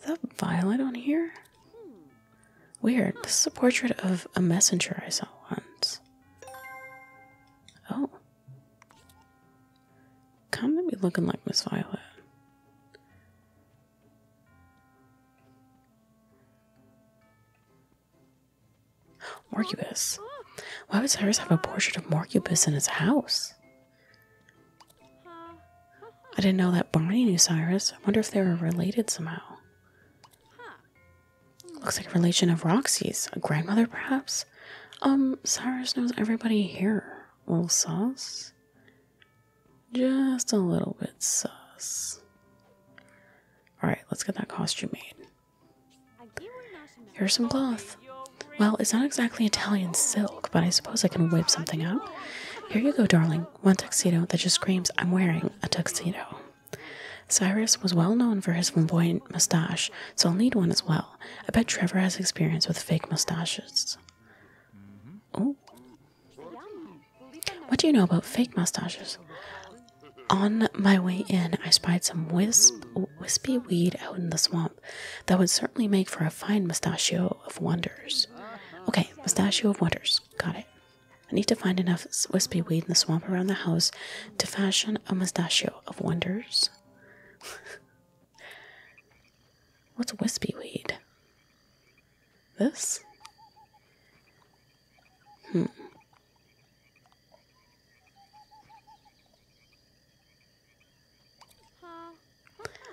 Is that violet on here? Weird. This is a portrait of a messenger I saw once. Oh, Come at me looking like Miss Violet. Morcubus. Why would Cyrus have a portrait of Morcubus in his house? I didn't know that Bonnie knew Cyrus. I wonder if they were related somehow. Looks like a relation of Roxy's, a grandmother perhaps? Um, Cyrus knows everybody here. A little sus? Just a little bit sus. Alright, let's get that costume made. Here's some cloth. Well, it's not exactly Italian silk, but I suppose I can whip something up. Here you go, darling. One tuxedo that just screams, I'm wearing a tuxedo. Cyrus was well known for his flamboyant mustache, so I'll need one as well. I bet Trevor has experience with fake mustaches. Mm-hmm. Ooh. What do you know about fake mustaches? On my way in, I spied some wisp, wispy weed out in the swamp that would certainly make for a fine mustachio of wonders. Okay, mustachio of wonders. Got it. I need to find enough wispy weed in the swamp around the house to fashion a mustachio of wonders. What's wispy weed? This? Hmm.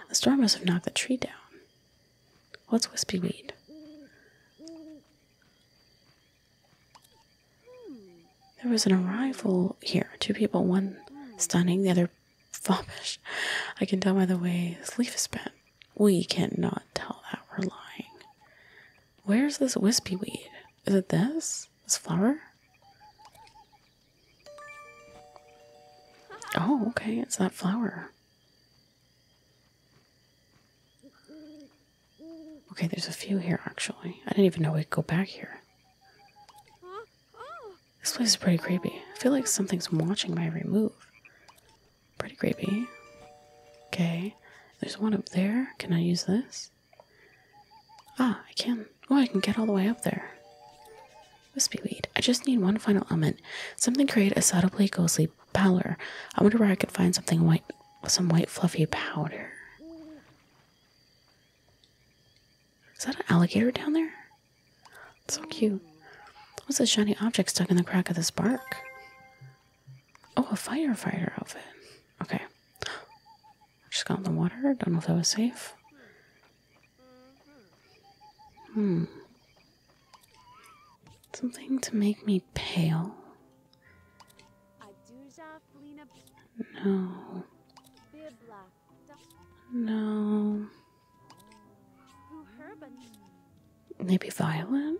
The storm must have knocked the tree down. What's wispy weed? There was an arrival here. Two people, one stunning, the other foppish. I can tell by the way his leaf is bent. We cannot tell that we're lying. Where's this wispy weed? Is it this? This flower? Oh, okay, it's that flower. Okay, there's a few here actually. I didn't even know we could go back here. This place is pretty creepy. I feel like something's watching my every move. Pretty creepy. Okay. There's one up there. Can I use this? Ah, I can. Oh, I can get all the way up there. Wispy weed. I just need one final element. Something create a subtly ghostly pallor. I wonder where I could find something white, some white fluffy powder. Is that an alligator down there? so cute. What's this shiny object stuck in the crack of this bark? Oh, a firefighter outfit. Okay. Just got in the water. Don't know if that was safe. Hmm. Something to make me pale. No. No. Maybe violet?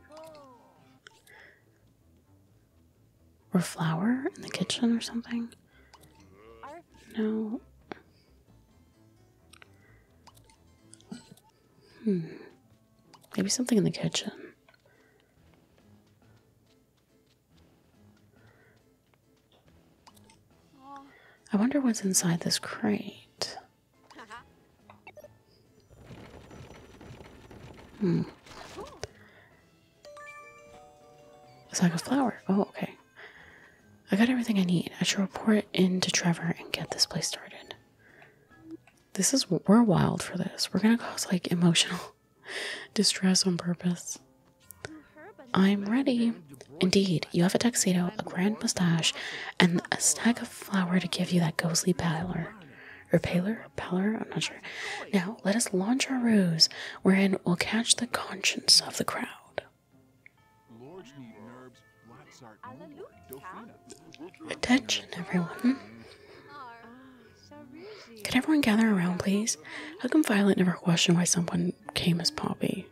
Or flower in the kitchen or something? No. Hmm. Maybe something in the kitchen. I wonder what's inside this crate. Hmm. A sack of flour. Oh, okay. I got everything I need. I should report into Trevor and get this place started. This is we're wild for this. We're gonna cause like emotional distress on purpose. I'm ready. Indeed, you have a tuxedo, a grand mustache, and a stack of flour to give you that ghostly pallor. Or paler? Pallor? I'm not sure. Now, let us launch our ruse, wherein we'll catch the conscience of the crowd. Attention, everyone. Could everyone gather around, please? How come Violet never questioned why someone came as Poppy?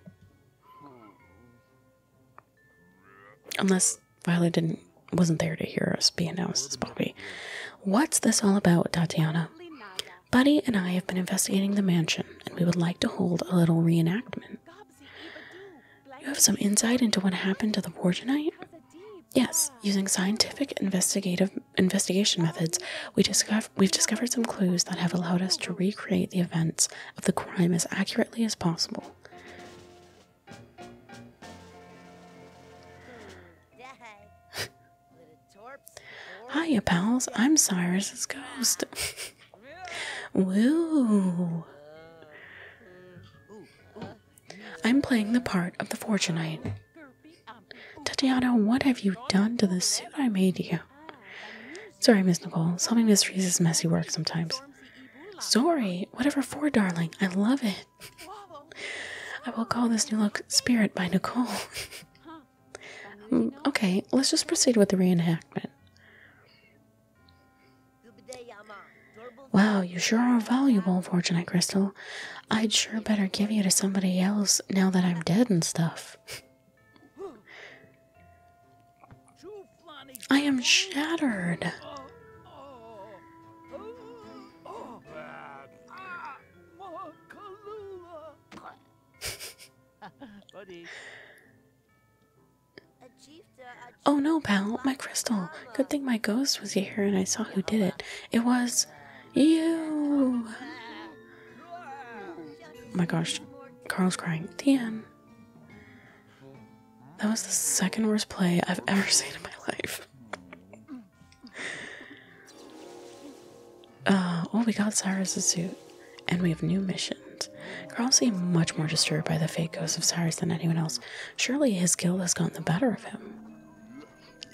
Unless Violet didn't wasn't there to hear us be announced as Poppy. What's this all about, Tatiana? Buddy and I have been investigating the mansion, and we would like to hold a little reenactment. You have some insight into what happened to the poor tonight? Yes, using scientific investigative investigation methods, we have discovered some clues that have allowed us to recreate the events of the crime as accurately as possible. Hiya, pals. I'm Cyrus's ghost. Woo! I'm playing the part of the Fortunite. Tatiana, what have you done to the suit I made you? Sorry, Miss Nicole. Solving mysteries is messy work sometimes. Sorry, whatever for, darling. I love it. I will call this new look Spirit by Nicole. okay, let's just proceed with the reenactment. Wow, you sure are valuable, unfortunate Crystal. I'd sure better give you to somebody else now that I'm dead and stuff. I am shattered. oh no, pal, my crystal. Good thing my ghost was here and I saw who did it. It was. Ew. Oh my gosh, Carl's crying. Damn. That was the second worst play I've ever seen in my life. Uh, oh, we got Cyrus's suit, and we have new missions. Carl seems much more disturbed by the fake ghost of Cyrus than anyone else. Surely his guilt has gotten the better of him.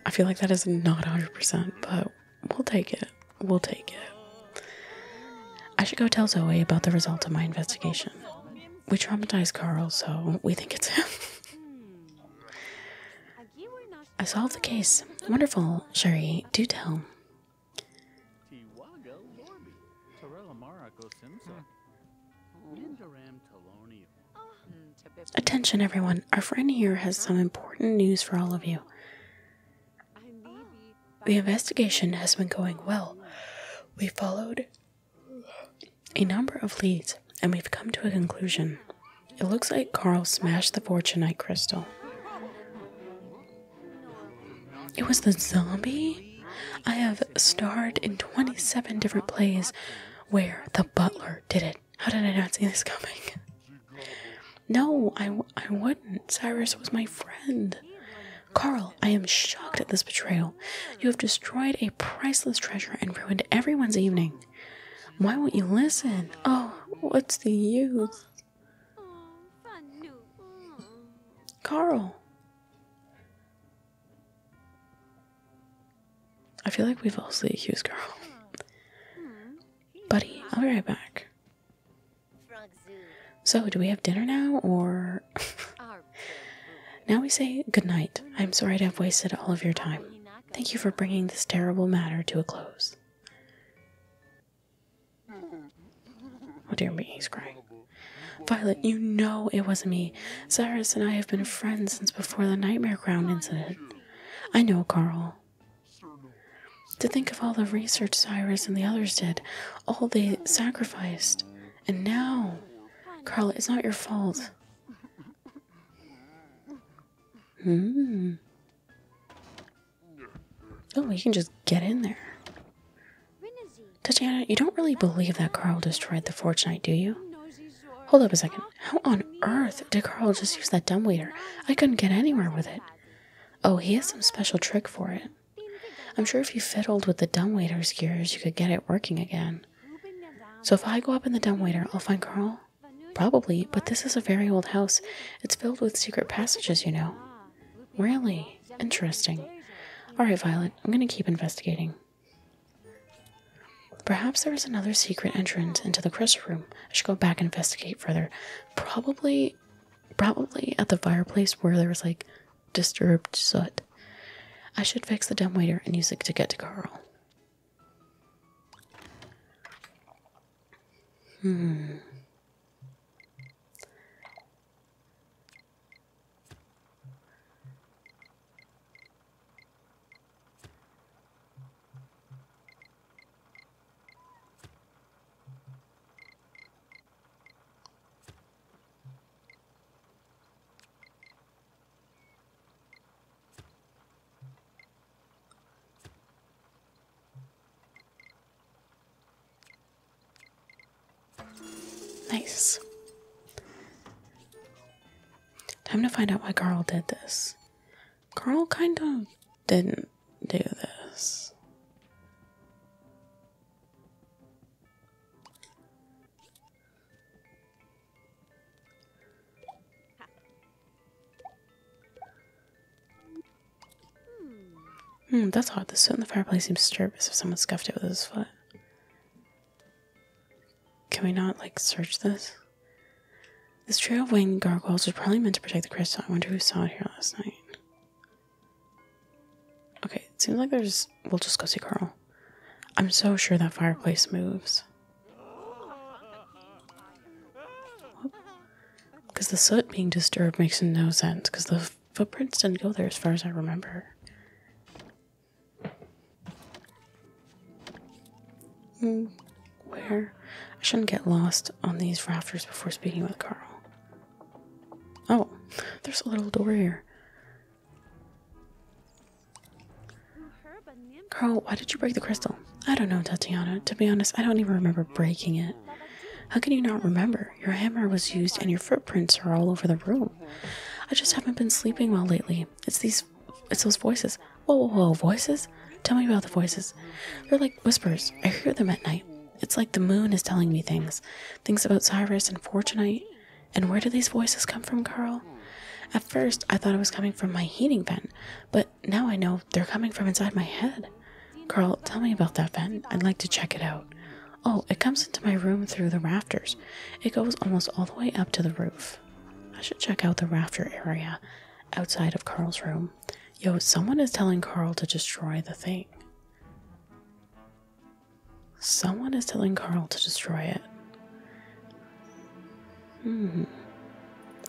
I feel like that is not 100%, but We'll take it. We'll take it. I should go tell Zoe about the result of my investigation. We traumatized Carl, so we think it's him. I solved the case. Wonderful, Sherry. Do tell. Attention, everyone. Our friend here has some important news for all of you. The investigation has been going well. We followed a number of leads and we've come to a conclusion. It looks like Carl smashed the fortunite crystal. It was the zombie? I have starred in 27 different plays where the butler did it. How did I not see this coming? No, I, I wouldn't. Cyrus was my friend. Carl, I am shocked at this betrayal. You have destroyed a priceless treasure and ruined everyone's evening. Why won't you listen? Oh, what's the use? Carl. I feel like we've all falsely accused Carl buddy, I'll be right back. So, do we have dinner now, or. now we say good night? I'm sorry to have wasted all of your time. Thank you for bringing this terrible matter to a close. Oh dear me, he's crying. Violet, you know it wasn't me. Cyrus and I have been friends since before the Nightmare Crown incident. I know, Carl. To think of all the research Cyrus and the others did, all they sacrificed, and now, Carla, it's not your fault. Hmm. Oh, you can just get in there. Tatiana, you don't really believe that Carl destroyed the Fortnite, do you? Hold up a second. How on earth did Carl just use that dumbwaiter? I couldn't get anywhere with it. Oh, he has some special trick for it. I'm sure if you fiddled with the dumbwaiter's gears, you could get it working again. So if I go up in the dumbwaiter, I'll find Carl? Probably, but this is a very old house. It's filled with secret passages, you know. Really? Interesting. Alright, Violet, I'm going to keep investigating. Perhaps there is another secret entrance into the crystal room. I should go back and investigate further probably probably at the fireplace where there was like disturbed soot. I should fix the dumbwaiter and use it to get to Carl. Hmm. Nice. Time to find out why Carl did this. Carl kind of didn't do this. Hmm, that's hot. The soot in the fireplace seems disturbed as if someone scuffed it with his foot. Can we not, like, search this? This trail of winged gargoyles was probably meant to protect the crystal. I wonder who saw it here last night. Okay, it seems like there's. We'll just go see Carl. I'm so sure that fireplace moves. Because the soot being disturbed makes no sense, because the footprints didn't go there as far as I remember. Mm. Where? I shouldn't get lost on these rafters before speaking with Carl. Oh, there's a little door here. Carl, why did you break the crystal? I don't know, Tatiana. To be honest, I don't even remember breaking it. How can you not remember? Your hammer was used and your footprints are all over the room. I just haven't been sleeping well lately. It's these it's those voices. Whoa, whoa, whoa, voices? Tell me about the voices. They're like whispers. I hear them at night. It's like the moon is telling me things. Things about Cyrus and Fortunate. And where do these voices come from, Carl? At first, I thought it was coming from my heating vent, but now I know they're coming from inside my head. Carl, tell me about that vent. I'd like to check it out. Oh, it comes into my room through the rafters. It goes almost all the way up to the roof. I should check out the rafter area outside of Carl's room. Yo, someone is telling Carl to destroy the thing. Someone is telling Carl to destroy it. Hmm.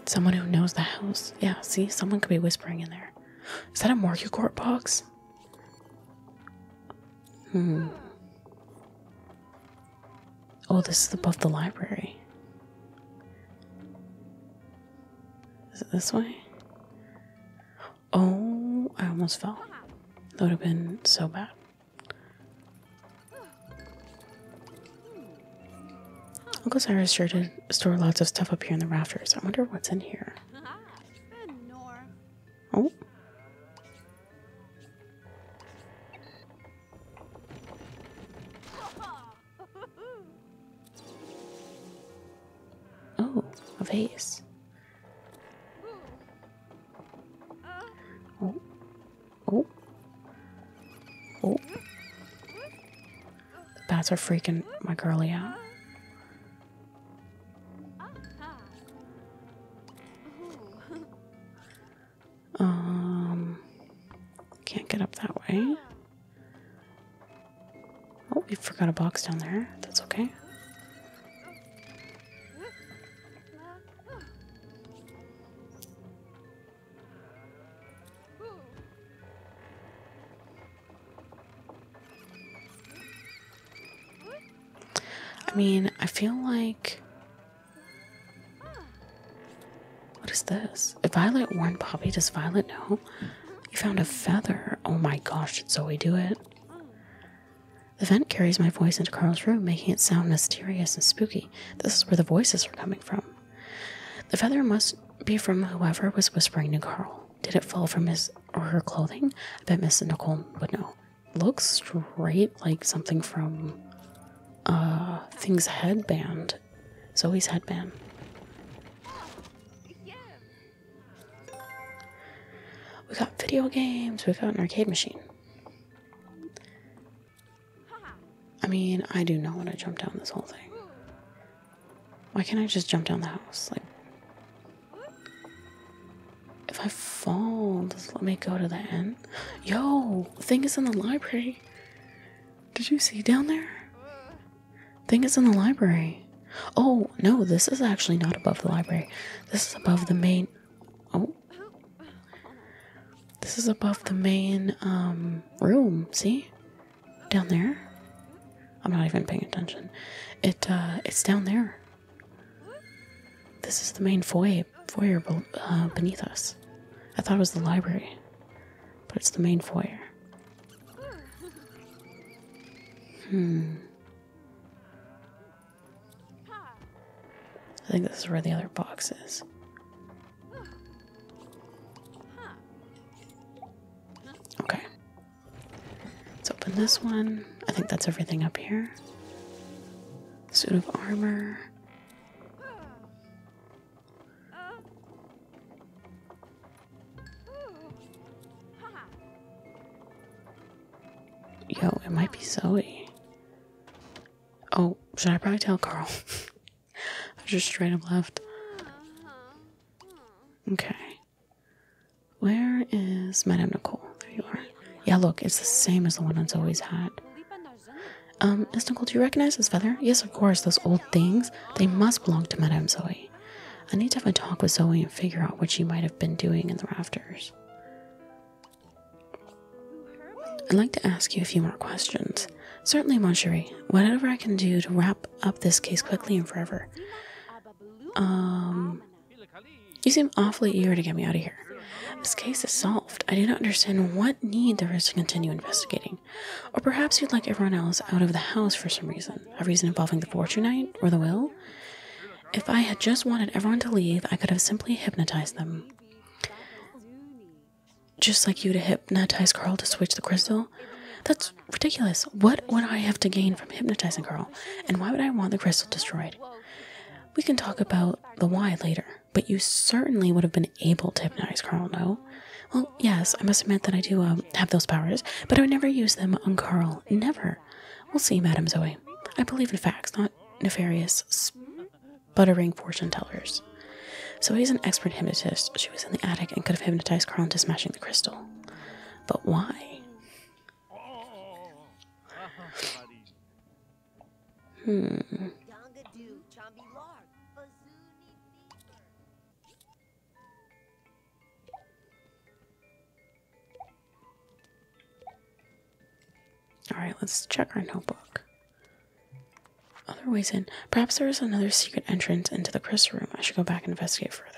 Someone who knows the house. Yeah, see? Someone could be whispering in there. Is that a Morgue box? Hmm. Oh, this is above the library. Is it this way? Oh, I almost fell. That would have been so bad. Uncle Cyrus sure did store lots of stuff up here in the rafters. I wonder what's in here. Oh. Oh, a vase. Oh. Oh. Oh. The bats are freaking my girly out. Um, can't get up that way. Oh, we forgot a box down there. That's okay. I mean, I feel like. What is this? this. Violet warned Poppy. Does Violet know? You found a feather. Oh my gosh, did Zoe do it? The vent carries my voice into Carl's room, making it sound mysterious and spooky. This is where the voices are coming from. The feather must be from whoever was whispering to Carl. Did it fall from his or her clothing? I bet Miss Nicole would know. Looks straight like something from uh Thing's headband. Zoe's headband. We got video games, we got an arcade machine. I mean, I do not want to jump down this whole thing. Why can't I just jump down the house? Like, if I fall, just let me go to the end. Yo, thing is in the library. Did you see down there? I think it's in the library. Oh, no, this is actually not above the library. This is above the main. Oh. This is above the main um, room. See? Down there? I'm not even paying attention. It uh, It's down there. This is the main foyer, foyer uh, beneath us. I thought it was the library, but it's the main foyer. Hmm. I think this is where the other box is. Okay. Let's open this one. I think that's everything up here. Suit of armor. Yo, it might be Zoe. Oh, should I probably tell Carl? I just straight up left. Okay. Where is Madame Nicole? There you are. Yeah, look, it's the same as the one that's always had. Um, Miss Nicole, do you recognize this feather? Yes, of course, those old things. They must belong to Madame Zoe. I need to have a talk with Zoe and figure out what she might have been doing in the rafters. I'd like to ask you a few more questions. Certainly, Mon Cherie. Whatever I can do to wrap up this case quickly and forever. Um, you seem awfully eager to get me out of here. This case is solved. I do not understand what need there is to continue investigating. Or perhaps you'd like everyone else out of the house for some reason, a reason involving the fortune night or the will. If I had just wanted everyone to leave, I could have simply hypnotized them. Just like you to hypnotize Carl to switch the crystal? That's ridiculous. What would I have to gain from hypnotizing Carl? And why would I want the crystal destroyed? We can talk about the why later, but you certainly would have been able to hypnotize Carl, no? Well, yes, I must admit that I do um, have those powers, but I would never use them on Carl. Never. We'll see, Madame Zoe. I believe in facts, not nefarious, sputtering fortune tellers. So he's an expert hypnotist. She was in the attic and could have hypnotized Carl into smashing the crystal. But why? Hmm. Alright, let's check our notebook. Other ways in. Perhaps there is another secret entrance into the crystal room. I should go back and investigate further.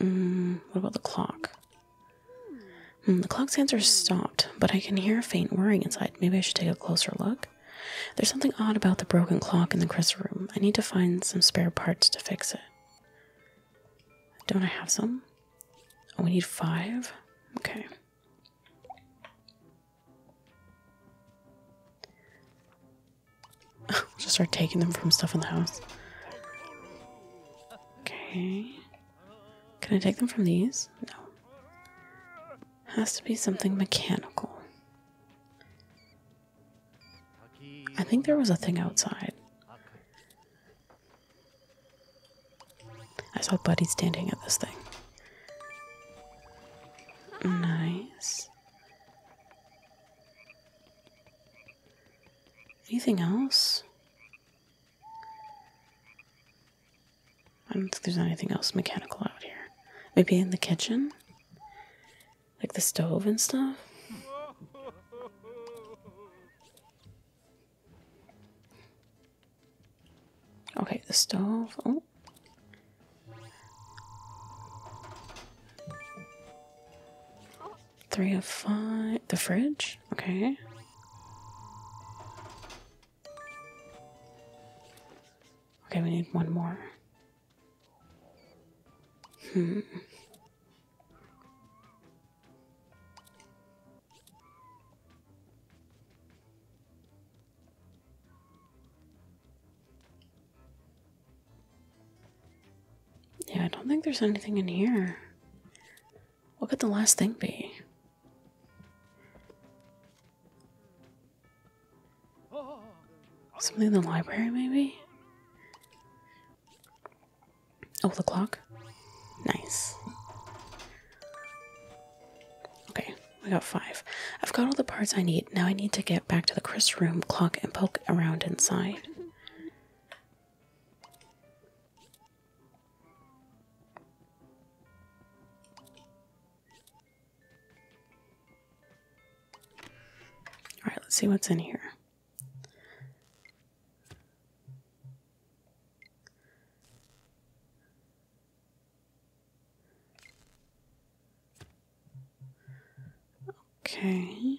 Mm, what about the clock? Hmm, the clock hands are stopped, but I can hear a faint whirring inside. Maybe I should take a closer look. There's something odd about the broken clock in the crisp room. I need to find some spare parts to fix it. Don't I have some? Oh, we need five? Okay. we'll just start taking them from stuff in the house. Okay. Can I take them from these? No. Has to be something mechanical. I think there was a thing outside. I saw Buddy standing at this thing. Nice. Anything else? I don't think there's anything else mechanical out here. Maybe in the kitchen? Like the stove and stuff? Okay, the stove. Oh. of five. The fridge? Okay. Okay, we need one more. Hmm. Yeah, I don't think there's anything in here. What could the last thing be? Something in the library, maybe? Oh, the clock? Nice. Okay, I got five. I've got all the parts I need. Now I need to get back to the Chris room clock and poke around inside. All right, let's see what's in here. Okay.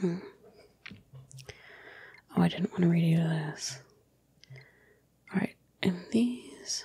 Hmm. Oh, I didn't want to redo this. Alright, and these.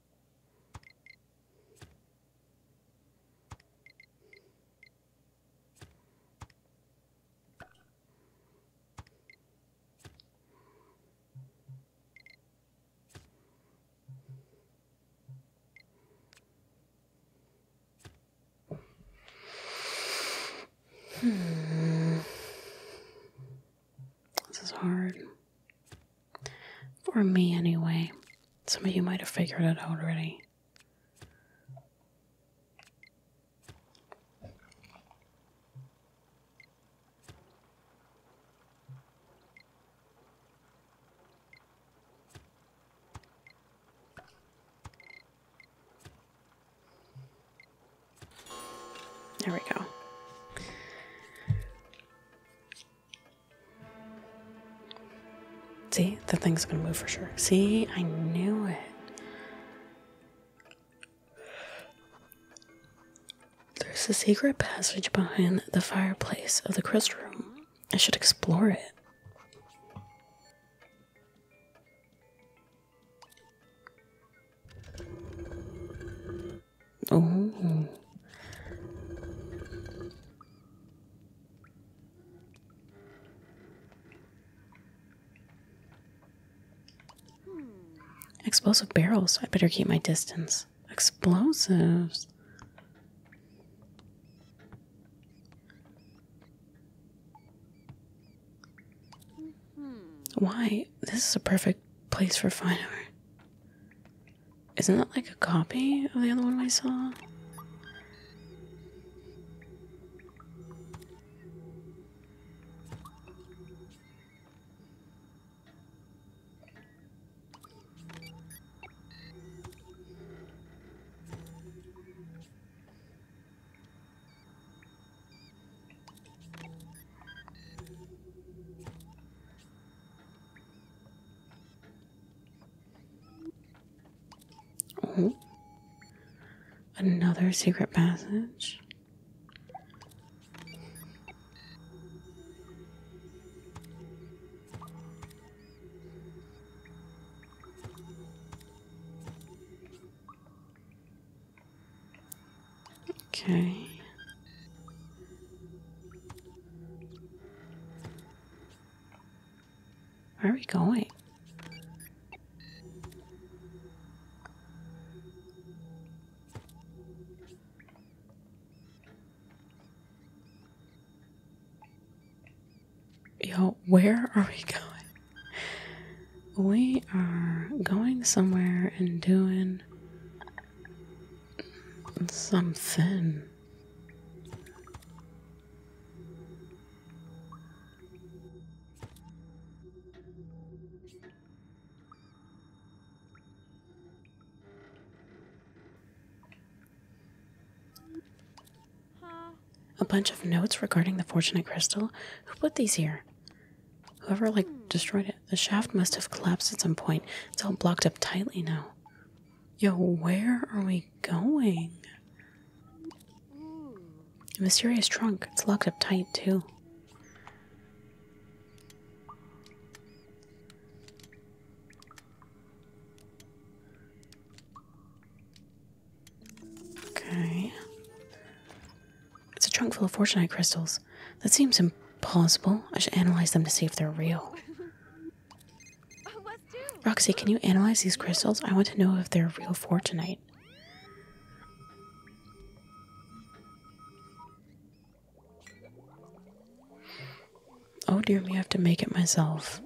Hmm. This is hard. For me, anyway. Some of you might have figured it out already. There we go. See, the thing's gonna move for sure. See, I knew it. There's a secret passage behind the fireplace of the crystal room. I should explore it. Oh. Explosive barrels. I better keep my distance. Explosives. Why? This is a perfect place for fine isn't that like a copy of the other one we saw? Oh, another secret passage. Okay. Where are we going? Yo, where are we going? We are going somewhere and doing something. A bunch of notes regarding the fortunate crystal? Who put these here? Whoever, like, destroyed it. The shaft must have collapsed at some point. It's all blocked up tightly now. Yo, where are we going? A mysterious trunk. It's locked up tight, too. Okay. It's a trunk full of fortunate crystals. That seems impossible. I should analyze them to see if they're real. Roxy, can you analyze these crystals? I want to know if they're real for tonight. Oh dear me, I have to make it myself.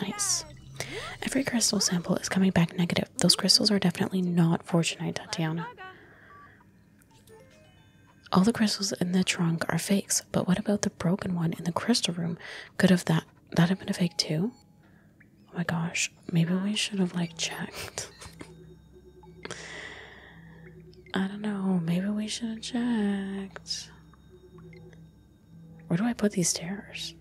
Nice. Every crystal sample is coming back negative. Those crystals are definitely not fortunate, Tatiana. All the crystals in the trunk are fakes, but what about the broken one in the crystal room? Could have that that have been a fake too? Oh my gosh, maybe we should have like checked. I don't know, maybe we should have checked. Where do I put these stairs?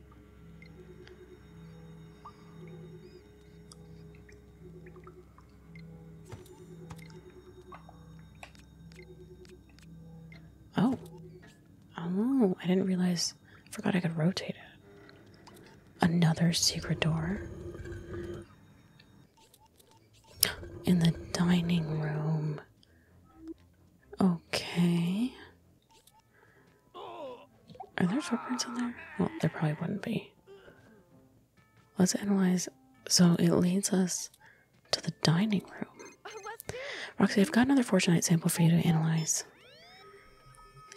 Oh. Oh, I didn't realize. Forgot I could rotate it. Another secret door. In the dining room. Okay. Are there footprints in there? Well, there probably wouldn't be. Let's analyze. So it leads us to the dining room. Roxy, I've got another Fortnite sample for you to analyze.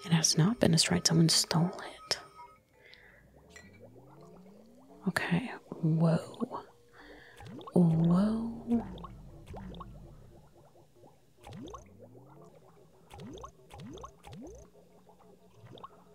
It has not been destroyed. Someone stole it. Okay. Whoa. Whoa.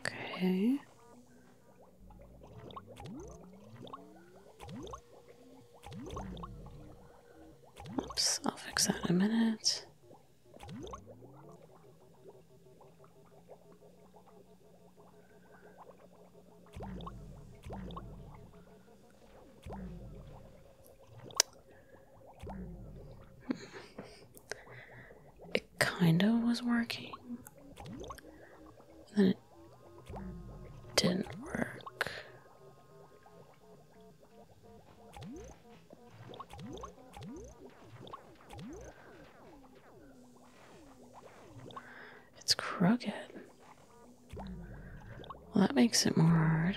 Okay. Oops, I'll fix that in a minute kind of was working. then it didn't work. It's crooked. Well, that makes it more hard.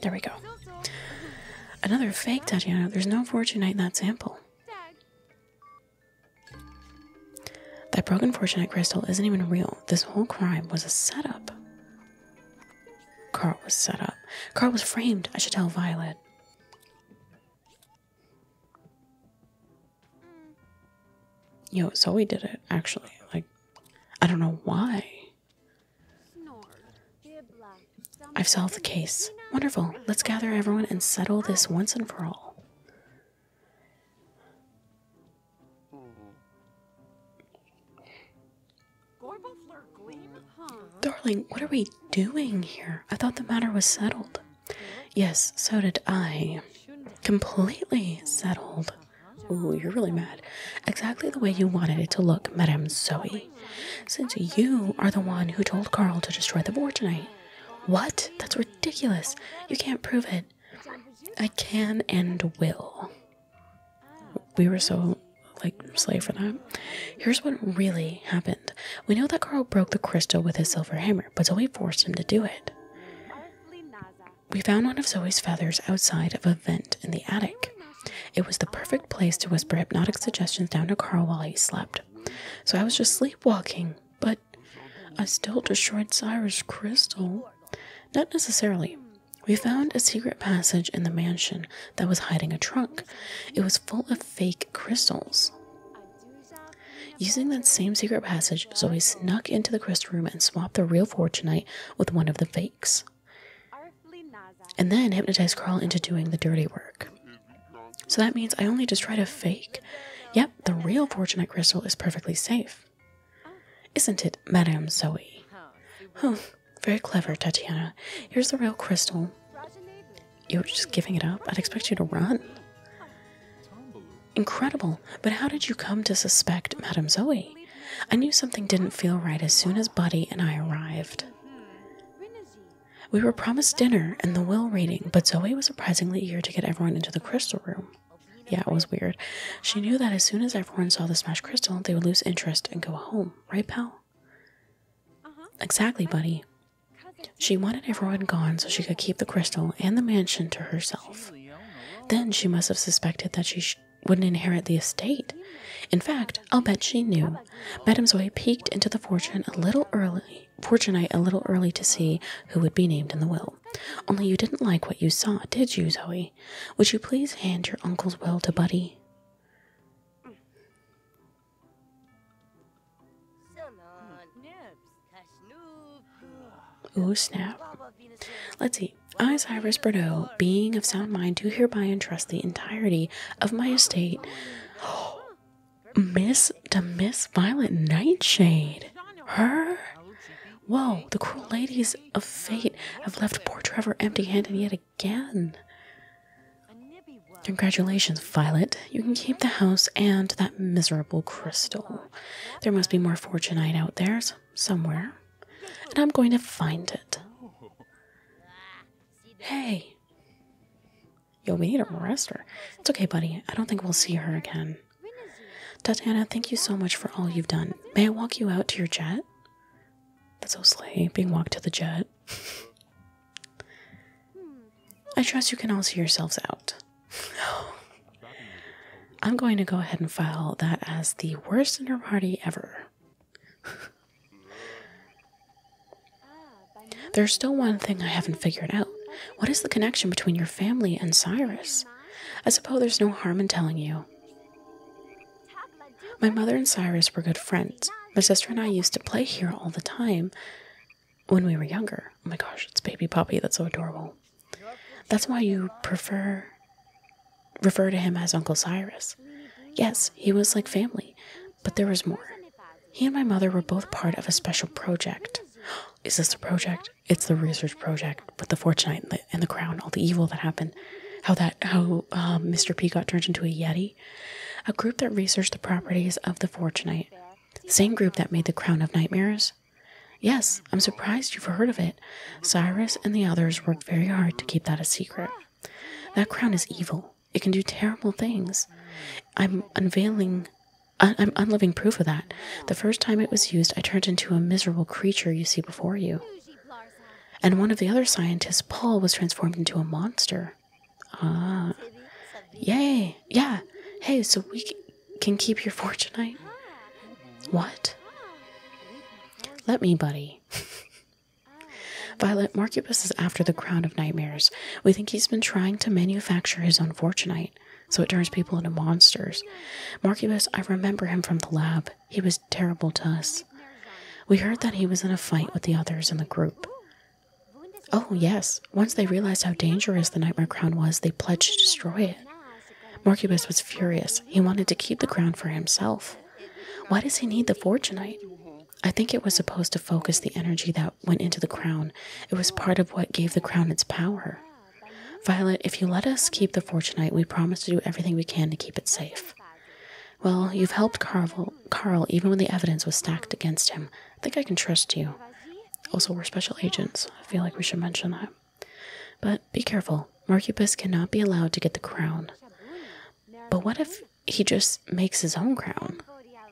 There we go. Another fake Tatiana. There's no Fortunate in that sample. That broken Fortunate crystal isn't even real. This whole crime was a setup. Carl was set up. Carl was framed. I should tell Violet. Yo, Zoe did it, actually. Like, I don't know why. I've solved the case. Wonderful. Let's gather everyone and settle this once and for all. Darling, what are we doing here? I thought the matter was settled. Yes, so did I. Completely settled. Oh, you're really mad. Exactly the way you wanted it to look, Madame Zoe. Since you are the one who told Carl to destroy the board tonight. What? That's ridiculous. You can't prove it. I can and will. We were so like slave for that. Here's what really happened. We know that Carl broke the crystal with his silver hammer, but Zoe forced him to do it. We found one of Zoe's feathers outside of a vent in the attic. It was the perfect place to whisper hypnotic suggestions down to Carl while he slept. So I was just sleepwalking, but I still destroyed Cyrus' crystal. Not necessarily. We found a secret passage in the mansion that was hiding a trunk. It was full of fake crystals. Using that same secret passage, Zoe snuck into the crystal room and swapped the real fortune night with one of the fakes, and then hypnotized Carl into doing the dirty work. So that means I only just tried a fake. Yep, the real fortune night crystal is perfectly safe. Isn't it, Madame Zoe? Huh, very clever, Tatiana. Here's the real crystal. You are just giving it up? I'd expect you to run. Incredible. But how did you come to suspect Madame Zoe? I knew something didn't feel right as soon as Buddy and I arrived. We were promised dinner and the will reading, but Zoe was surprisingly eager to get everyone into the crystal room. Yeah, it was weird. She knew that as soon as everyone saw the smashed crystal, they would lose interest and go home. Right, pal? Uh-huh. Exactly, buddy. She wanted everyone gone so she could keep the crystal and the mansion to herself. Then she must have suspected that she wouldn't inherit the estate. In fact, I'll bet she knew. Madame Zoe peeked into the fortune a little early, fortunate a little early to see who would be named in the will. Only you didn't like what you saw, did you, Zoe? Would you please hand your uncle's will to Buddy? Ooh, snap. Let's see. I, Cyrus Bordeaux, being of sound mind, do hereby entrust the entirety of my estate. Miss to Miss Violet Nightshade. Her? Whoa, the cruel ladies of fate have left poor Trevor empty handed yet again. Congratulations, Violet. You can keep the house and that miserable crystal. There must be more fortunite out there somewhere, and I'm going to find it. Hey! Yo, we need a rester. It's okay, buddy. I don't think we'll see her again. Tatiana, thank you so much for all you've done. May I walk you out to your jet? That's so slay, being walked to the jet. I trust you can all see yourselves out. I'm going to go ahead and file that as the worst dinner party ever. There's still one thing I haven't figured out. What is the connection between your family and Cyrus? I suppose there's no harm in telling you. My mother and Cyrus were good friends. My sister and I used to play here all the time when we were younger. Oh my gosh, it's baby poppy. That's so adorable. That's why you prefer refer to him as Uncle Cyrus. Yes, he was like family, but there was more. He and my mother were both part of a special project. Is this the project? It's the research project with the Fortune and the, crown, all the evil that happened, how that how Mr. Um, P got turned into a yeti a group that researched the properties of the Fortunite. The same group that made the Crown of Nightmares? Yes, I'm surprised you've heard of it. Cyrus and the others worked very hard to keep that a secret. That crown is evil. It can do terrible things. I'm unveiling I'm unliving proof of that. The first time it was used, I turned into a miserable creature you see before you. And one of the other scientists, Paul, was transformed into a monster. Ah. Yay. Yeah. Hey, so we can keep your fortunite? What? Let me, buddy. Oh. Violet, Marcubus is after the crown of nightmares. We think he's been trying to manufacture his own fortunite, so it turns people into monsters. Marcubus, I remember him from the lab. He was terrible to us. We heard that he was in a fight with the others in the group. Oh. Oh, yes. Once they realized how dangerous the Nightmare Crown was, they pledged to destroy it. Morcubus was furious. He wanted to keep the crown for himself. Why does he need the Fortunite? I think it was supposed to focus the energy that went into the crown. It was part of what gave the crown its power. Violet, if you let us keep the Fortunite, we promise to do everything we can to keep it safe. Well, you've helped Carvel Carl, even when the evidence was stacked against him, I think I can trust you. Also, we're special agents. I feel like we should mention that. But be careful. Marcupus cannot be allowed to get the crown. But what if he just makes his own crown?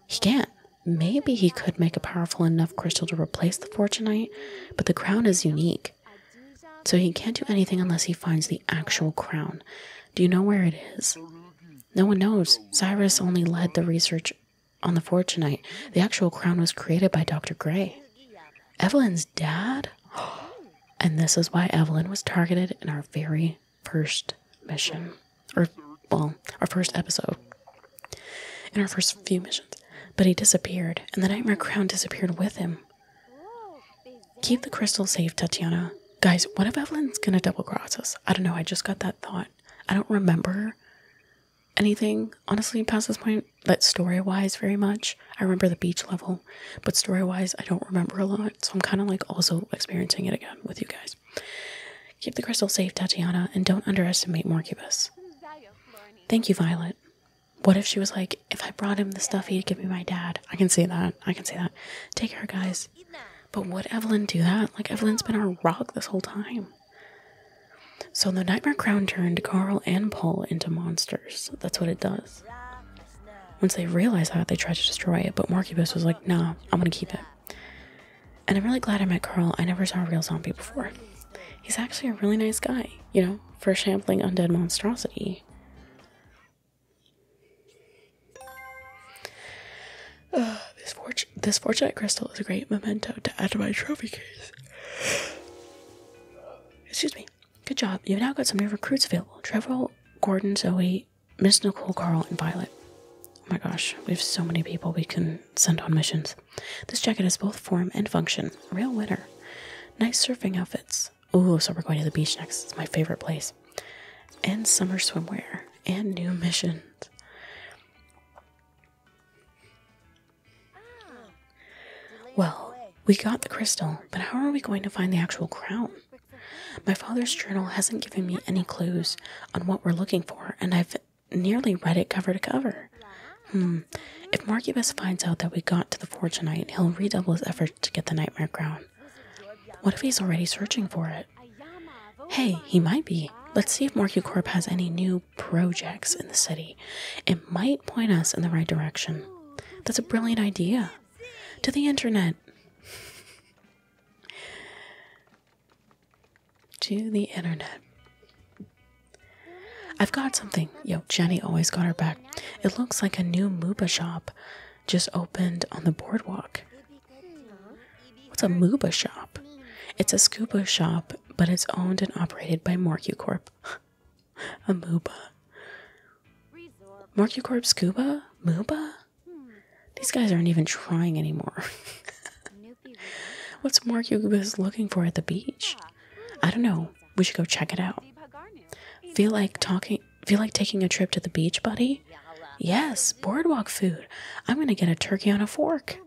He can't. Maybe he could make a powerful enough crystal to replace the Fortunite, but the crown is unique. So he can't do anything unless he finds the actual crown. Do you know where it is? No one knows. Cyrus only led the research on the Fortunite. The actual crown was created by Dr. Gray. Evelyn's dad? And this is why Evelyn was targeted in our very first mission. Or, well, our first episode. In our first few missions. But he disappeared, and the Nightmare Crown disappeared with him. Keep the crystal safe, Tatiana. Guys, what if Evelyn's gonna double cross us? I don't know, I just got that thought. I don't remember anything honestly past this point but story wise very much i remember the beach level but story wise i don't remember a lot so i'm kind of like also experiencing it again with you guys keep the crystal safe tatiana and don't underestimate morcubus thank you violet what if she was like if i brought him the stuff he'd give me my dad i can see that i can see that take care guys but would Evelyn do that? Like, Evelyn's been our rock this whole time. So, the Nightmare Crown turned Carl and Paul into monsters. That's what it does. Once they realized that, they tried to destroy it, but Morcubus was like, nah, I'm gonna keep it. And I'm really glad I met Carl. I never saw a real zombie before. He's actually a really nice guy, you know, for a shambling undead monstrosity. this, this fortunate crystal is a great memento to add to my trophy case. Excuse me. Good job. You've now got some new recruits available. Trevor, Gordon, Zoe, Miss Nicole, Carl, and Violet. Oh my gosh, we have so many people we can send on missions. This jacket has both form and function. Real winner. Nice surfing outfits. Oh, so we're going to the beach next. It's my favorite place. And summer swimwear. And new missions. Well, we got the crystal, but how are we going to find the actual crown? My father's journal hasn't given me any clues on what we're looking for, and I've nearly read it cover to cover. Hmm, if Marcubus finds out that we got to the fort tonight, he'll redouble his efforts to get the nightmare crown. What if he's already searching for it? Hey, he might be. Let's see if Corp has any new projects in the city. It might point us in the right direction. That's a brilliant idea. To the internet. to the internet. I've got something. Yo, Jenny always got her back. It looks like a new Muba shop just opened on the boardwalk. What's hmm. a MUBA shop? It's a scuba shop, but it's owned and operated by Corp. a MUBA. Morcucorp scuba? MUBA? These guys aren't even trying anymore. What's Morcucorp looking for at the beach? I don't know. We should go check it out. Feel like talking feel like taking a trip to the beach, buddy? Yes, boardwalk food. I'm gonna get a turkey on a fork.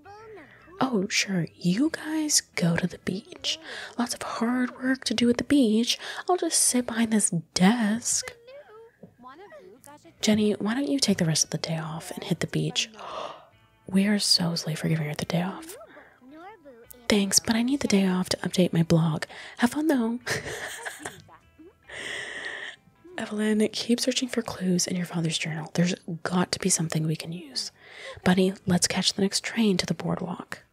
Oh, sure, you guys go to the beach. Lots of hard work to do at the beach. I'll just sit behind this desk. Jenny, why don't you take the rest of the day off and hit the beach? We are so silly for giving her the day off. Thanks, but I need the day off to update my blog. Have fun though. Evelyn, keep searching for clues in your father's journal. There's got to be something we can use. Bunny, let's catch the next train to the boardwalk.